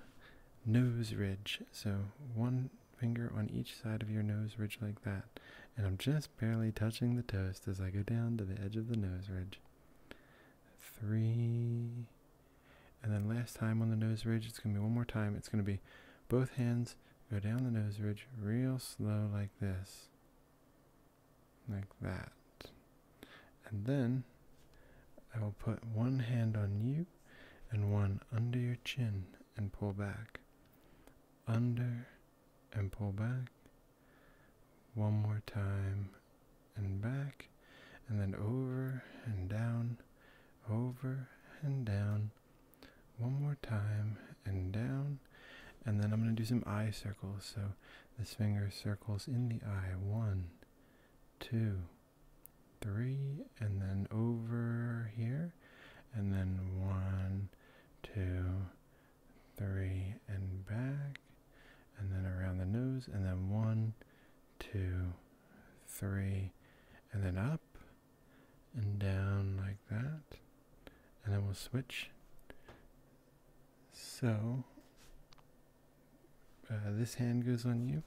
A: nose ridge. So one finger on each side of your nose ridge, like that. And I'm just barely touching the toast as I go down to the edge of the nose ridge. Three. And then last time on the nose ridge, it's going to be one more time. It's going to be both hands go down the nose ridge real slow, like this like that. And then I will put one hand on you and one under your chin and pull back. Under and pull back. One more time and back. And then over and down, over and down, one more time and down and then I'm going to do some eye circles so this finger circles in the eye one two three and then over here and then one two three and back and then around the nose and then one two three and then up and down like that and then we will switch. So uh, this hand goes on you,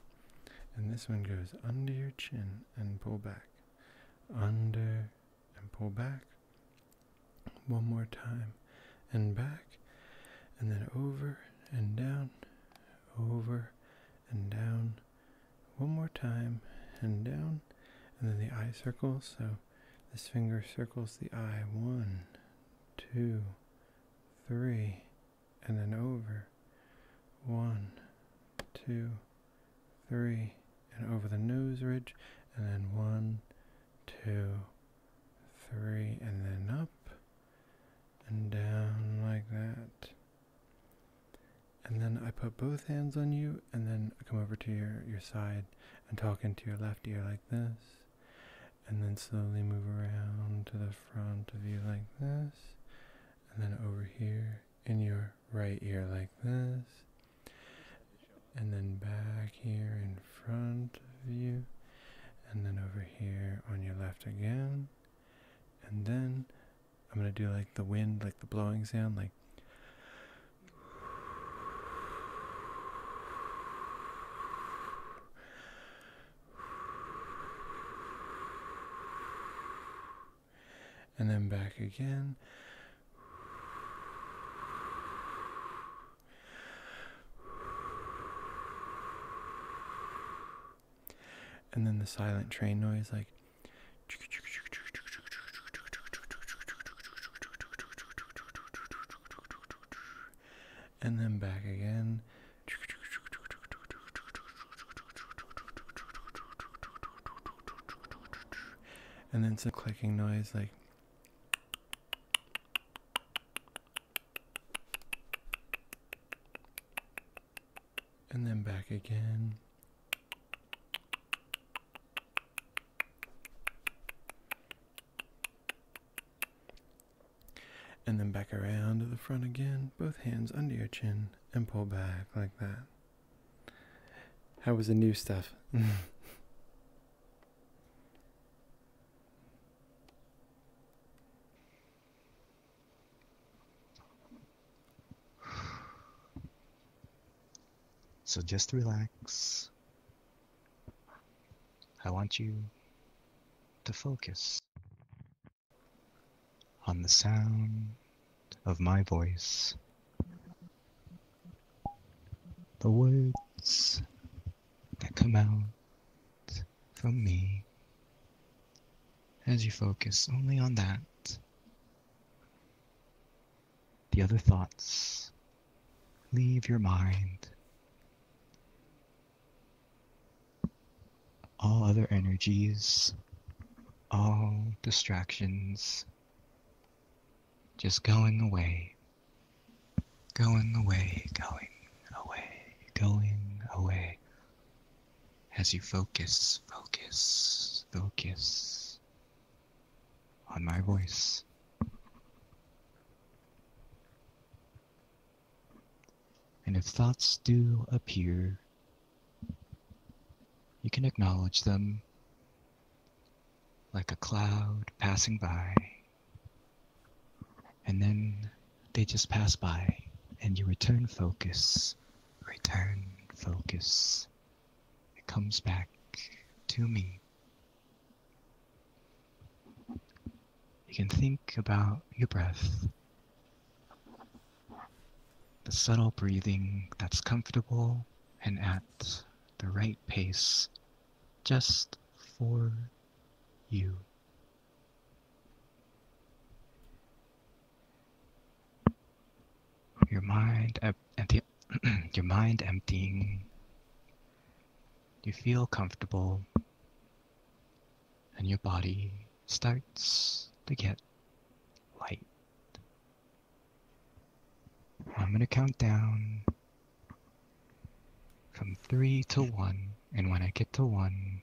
A: and this one goes under your chin and pull back, under and pull back. One more time, and back, and then over and down, over and down. One more time, and down, and then the eye circles. So this finger circles the eye one, two, three, and then over. One, two, three, and over the nose ridge, and then one, two, three, and then up and down like that. And then I put both hands on you and then come over to your, your side and talk into your left ear like this. And then slowly move around to the front of you like this. And then over here in your right ear like this. And then back here in front of you. And then over here on your left again. And then I'm going to do like the wind, like the blowing sound, like and then back again. And then the silent train noise, like and then back again. And then some clicking noise like and then back again and then back around to the front again, both hands under your chin, and pull back like that. How was the new stuff?
B: So just relax. I want you to focus on the sound of my voice, the words that come out from me as you focus only on that the other thoughts leave your mind. All other energies, all distractions, just going away, going away, going away, going away. As you focus, focus, focus on my voice. And if thoughts do appear, you can acknowledge them like a cloud passing by, and then they just pass by, and you return focus, return focus. It comes back to me. You can think about your breath, the subtle breathing that's comfortable and at the right pace just for you. Your mind empty your mind emptying. You feel comfortable, and your body starts to get light. I'm going to count down from three to one, and when I get to one,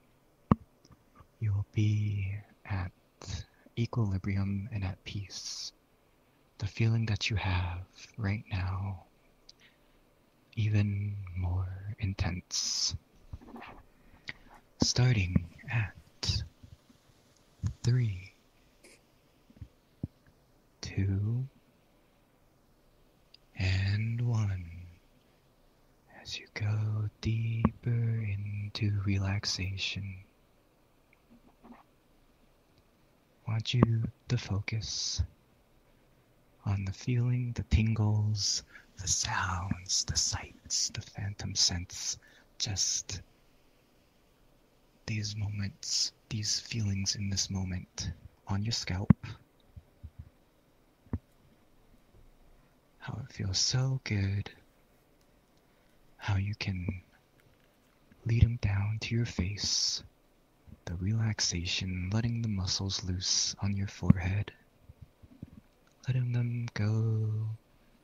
B: you'll be at equilibrium and at peace the feeling that you have right now even more intense. Starting at three, two, and one. As you go deeper into relaxation, want you to focus on the feeling, the tingles, the sounds, the sights, the phantom sense, just these moments, these feelings in this moment on your scalp. How it feels so good. How you can Lead them down to your face, the relaxation letting the muscles loose on your forehead. Letting them go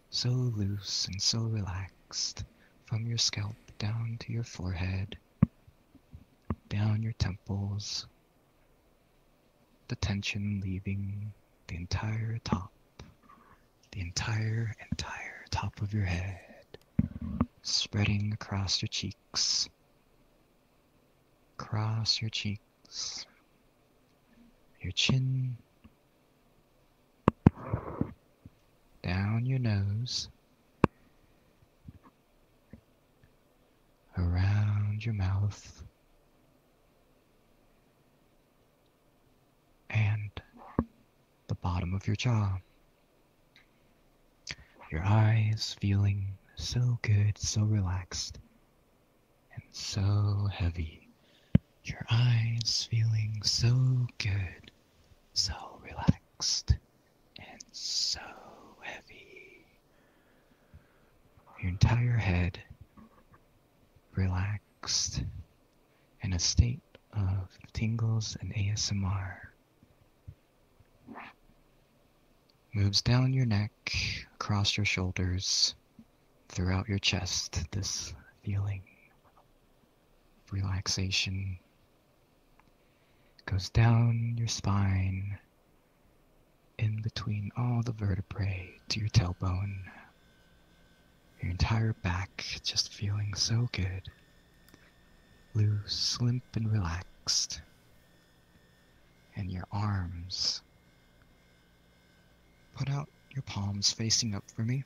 B: so loose and so relaxed from your scalp down to your forehead, down your temples, the tension leaving the entire top, the entire, entire top of your head spreading across your cheeks, across your cheeks, your chin, down your nose, around your mouth, and the bottom of your jaw. Your eyes feeling so good, so relaxed, and so heavy. Your eyes feeling so good, so relaxed, and so heavy. Your entire head relaxed in a state of tingles and ASMR. Moves down your neck, across your shoulders, throughout your chest. This feeling of relaxation goes down your spine, in between all the vertebrae to your tailbone. Your entire back just feeling so good loose, limp, and relaxed. And your arms. Put out your palms facing up for me.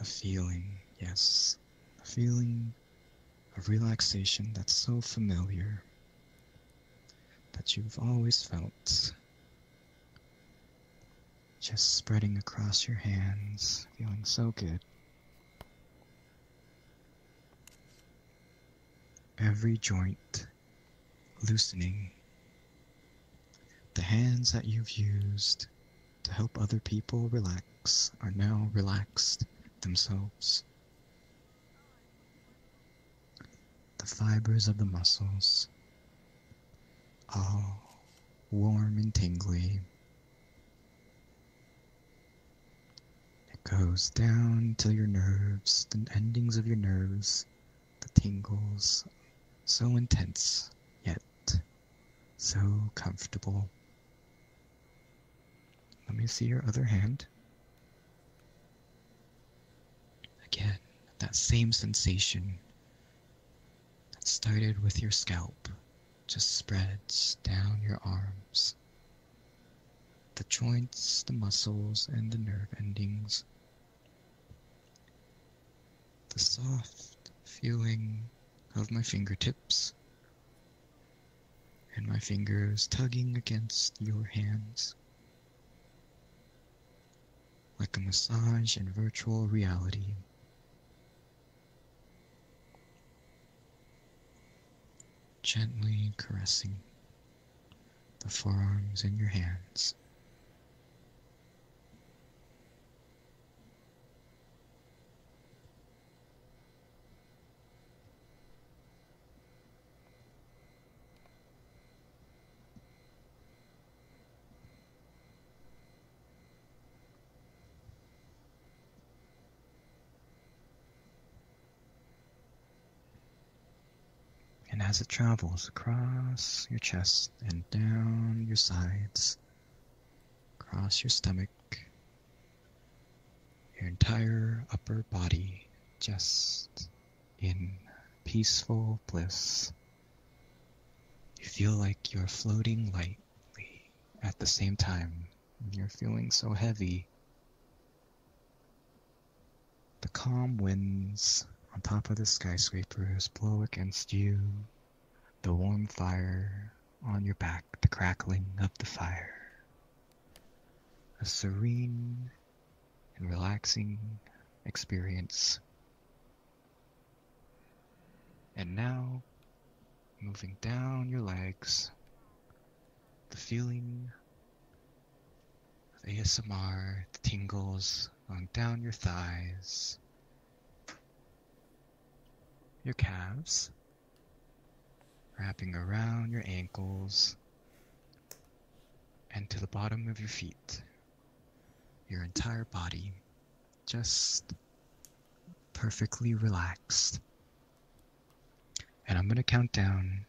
B: A feeling, yes, a feeling of relaxation that's so familiar that you've always felt just spreading across your hands, feeling so good. Every joint loosening. The hands that you've used to help other people relax are now relaxed themselves the fibers of the muscles, all warm and tingly. It goes down to your nerves, the endings of your nerves, the tingles, so intense, yet so comfortable. Let me see your other hand. Again, that same sensation that started with your scalp just spreads down your arms. The joints, the muscles, and the nerve endings. The soft feeling of my fingertips and my fingers tugging against your hands like a massage in virtual reality. Gently caressing the forearms in your hands. And as it travels across your chest and down your sides, across your stomach, your entire upper body, just in peaceful Bliss. You feel like you're floating lightly at the same time. You're feeling so heavy. The calm winds on top of the skyscrapers blow against you, the warm fire on your back, the crackling of the fire. A serene and relaxing experience and now, moving down your legs, the feeling of ASMR, tingles on down your thighs, your calves, wrapping around your ankles, and to the bottom of your feet your entire body just perfectly relaxed. And I'm going to count down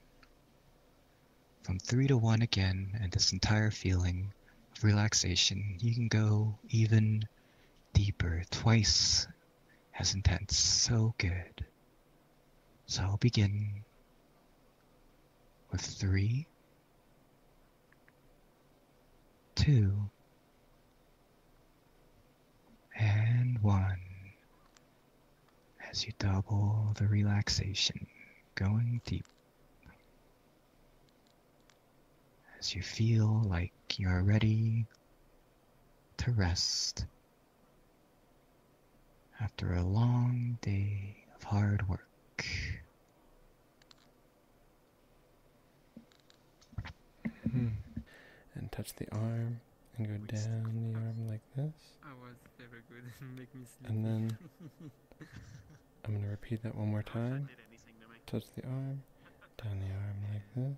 B: from three to one again, and this entire feeling of relaxation, you can go even deeper, twice as intense. So good. So I'll begin with three two, and one. As you double the relaxation, going deep. As you feel like you're ready to rest after a long day of hard work
A: Hmm. and touch the arm and go down the arm like this. I was never good make me sleep. And then I'm gonna repeat that one more time. Touch the arm, down the arm like this.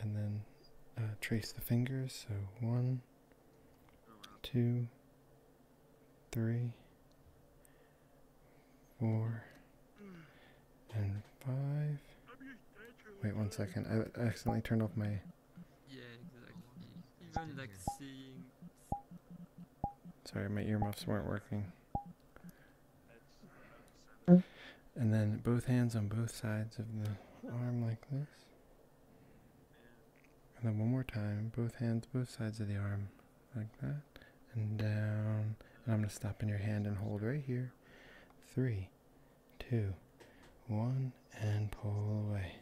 A: And then uh, trace the fingers. So one, two, three, four, and five. Wait one second, I accidentally turned off my. Yeah, exactly. Even like seeing. Sorry, my earmuffs weren't working. Mm. And then both hands on both sides of the arm like this. And then one more time, both hands, both sides of the arm, like that, and down. And I'm going to stop in your hand and hold right here. Three, two, one, and pull away.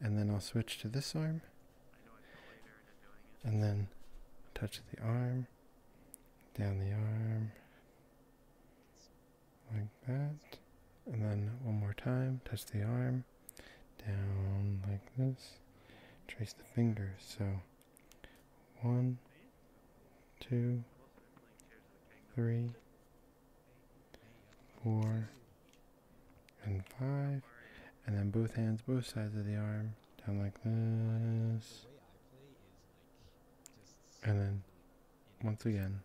A: And then I'll switch to this arm. And then touch the arm, down the arm, like that. And then one more time, touch the arm, down like this. Trace the fingers. So one, two, three, four, and five. And then both hands, both sides of the arm, down like this. And then once again,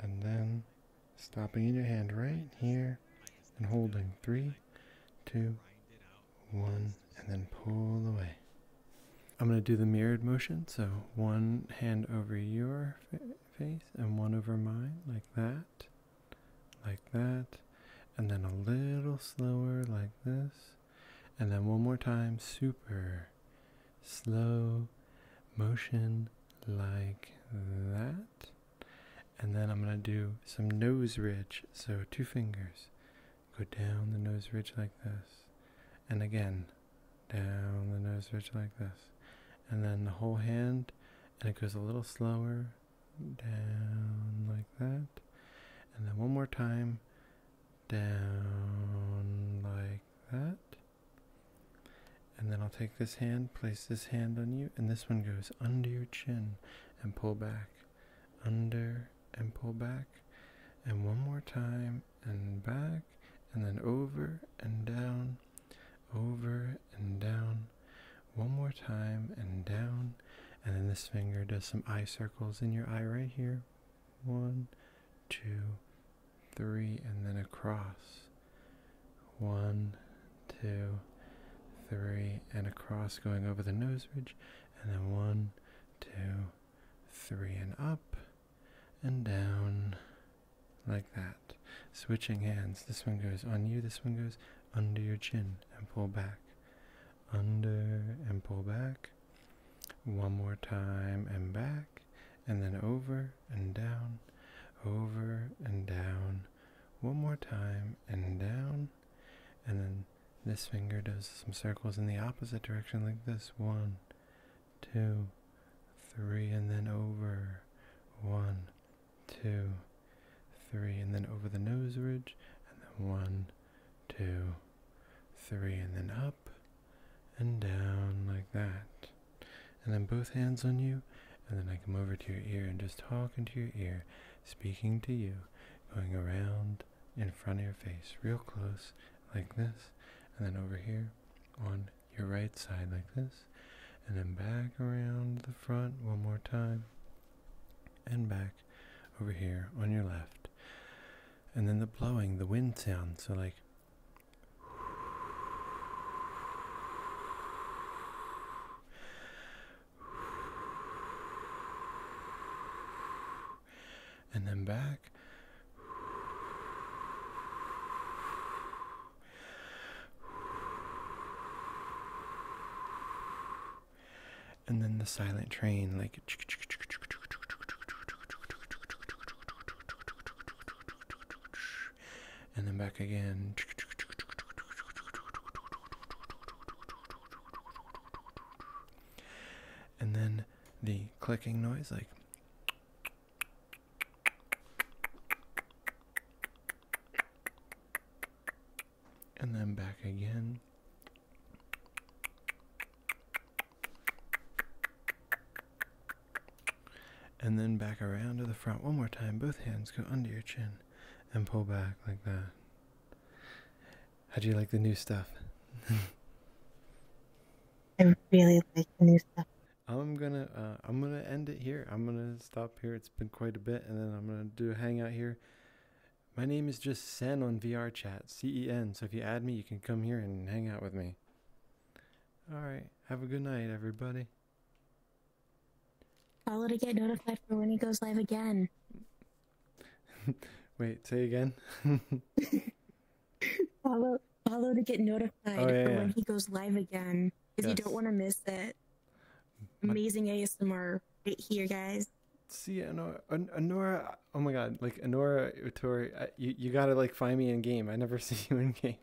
A: and then stopping in your hand right here and holding three, two, one, and then pull away. I'm going to do the mirrored motion, so one hand over your face and one over mine, like that, like that, and then a little slower, like this, and then one more time, super slow motion, like that. And then I'm going to do some nose ridge. So two fingers. Go down the nose ridge like this. And again, down the nose ridge like this. And then the whole hand. And it goes a little slower. Down like that. And then one more time. Down like that. And then I'll take this hand, place this hand on you, and this one goes under your chin and pull back, under and pull back, and one more time and back, and then over and down, over and down, one more time and down, and then this finger does some eye circles in your eye right here. One, two, three, and then across. One, two, three, and across going over the nose ridge, and then one, two, three, and up, and down, like that. Switching hands. This one goes on you, this one goes under your chin, and pull back. Under and pull back. One more time and back, and then over and down, over and down, one more time and down, and then this finger does some circles in the opposite direction like this one, two, three, and then over, one, two, three, and then over the nose ridge, and then one, two, three, and then up and down like that and then both hands on you, and then I come over to your ear and just talk into your ear, speaking to you, going around in front of your face, real close, like this, and then over here on your right side, like this, and then back around the front one more time, and back over here on your left. And then the blowing, the wind sound, so like and then back. And then the silent train, like and then back again. And then the clicking noise, like. And then back again and then back around to the front one more time. Both hands go under your chin and pull back like that. How do you like the new stuff? I really like the new stuff. I'm gonna uh, I'm gonna end it here. I'm gonna stop here. It's been quite a bit, and then I'm gonna do a hangout here. My name is just Sen on VR Chat, C E N. So if you add me, you can come here and hang out with me. All right. Have a good night, everybody.
B: Follow to get notified for when he goes live again.
A: Wait, say again. follow, follow to get notified oh, for when he goes live again, because you don't want to miss it. Amazing ASMR right here, guys. See, Anora, An Anora, oh my god, like Anora Utori, you, you gotta like find me in game. I never see you in game.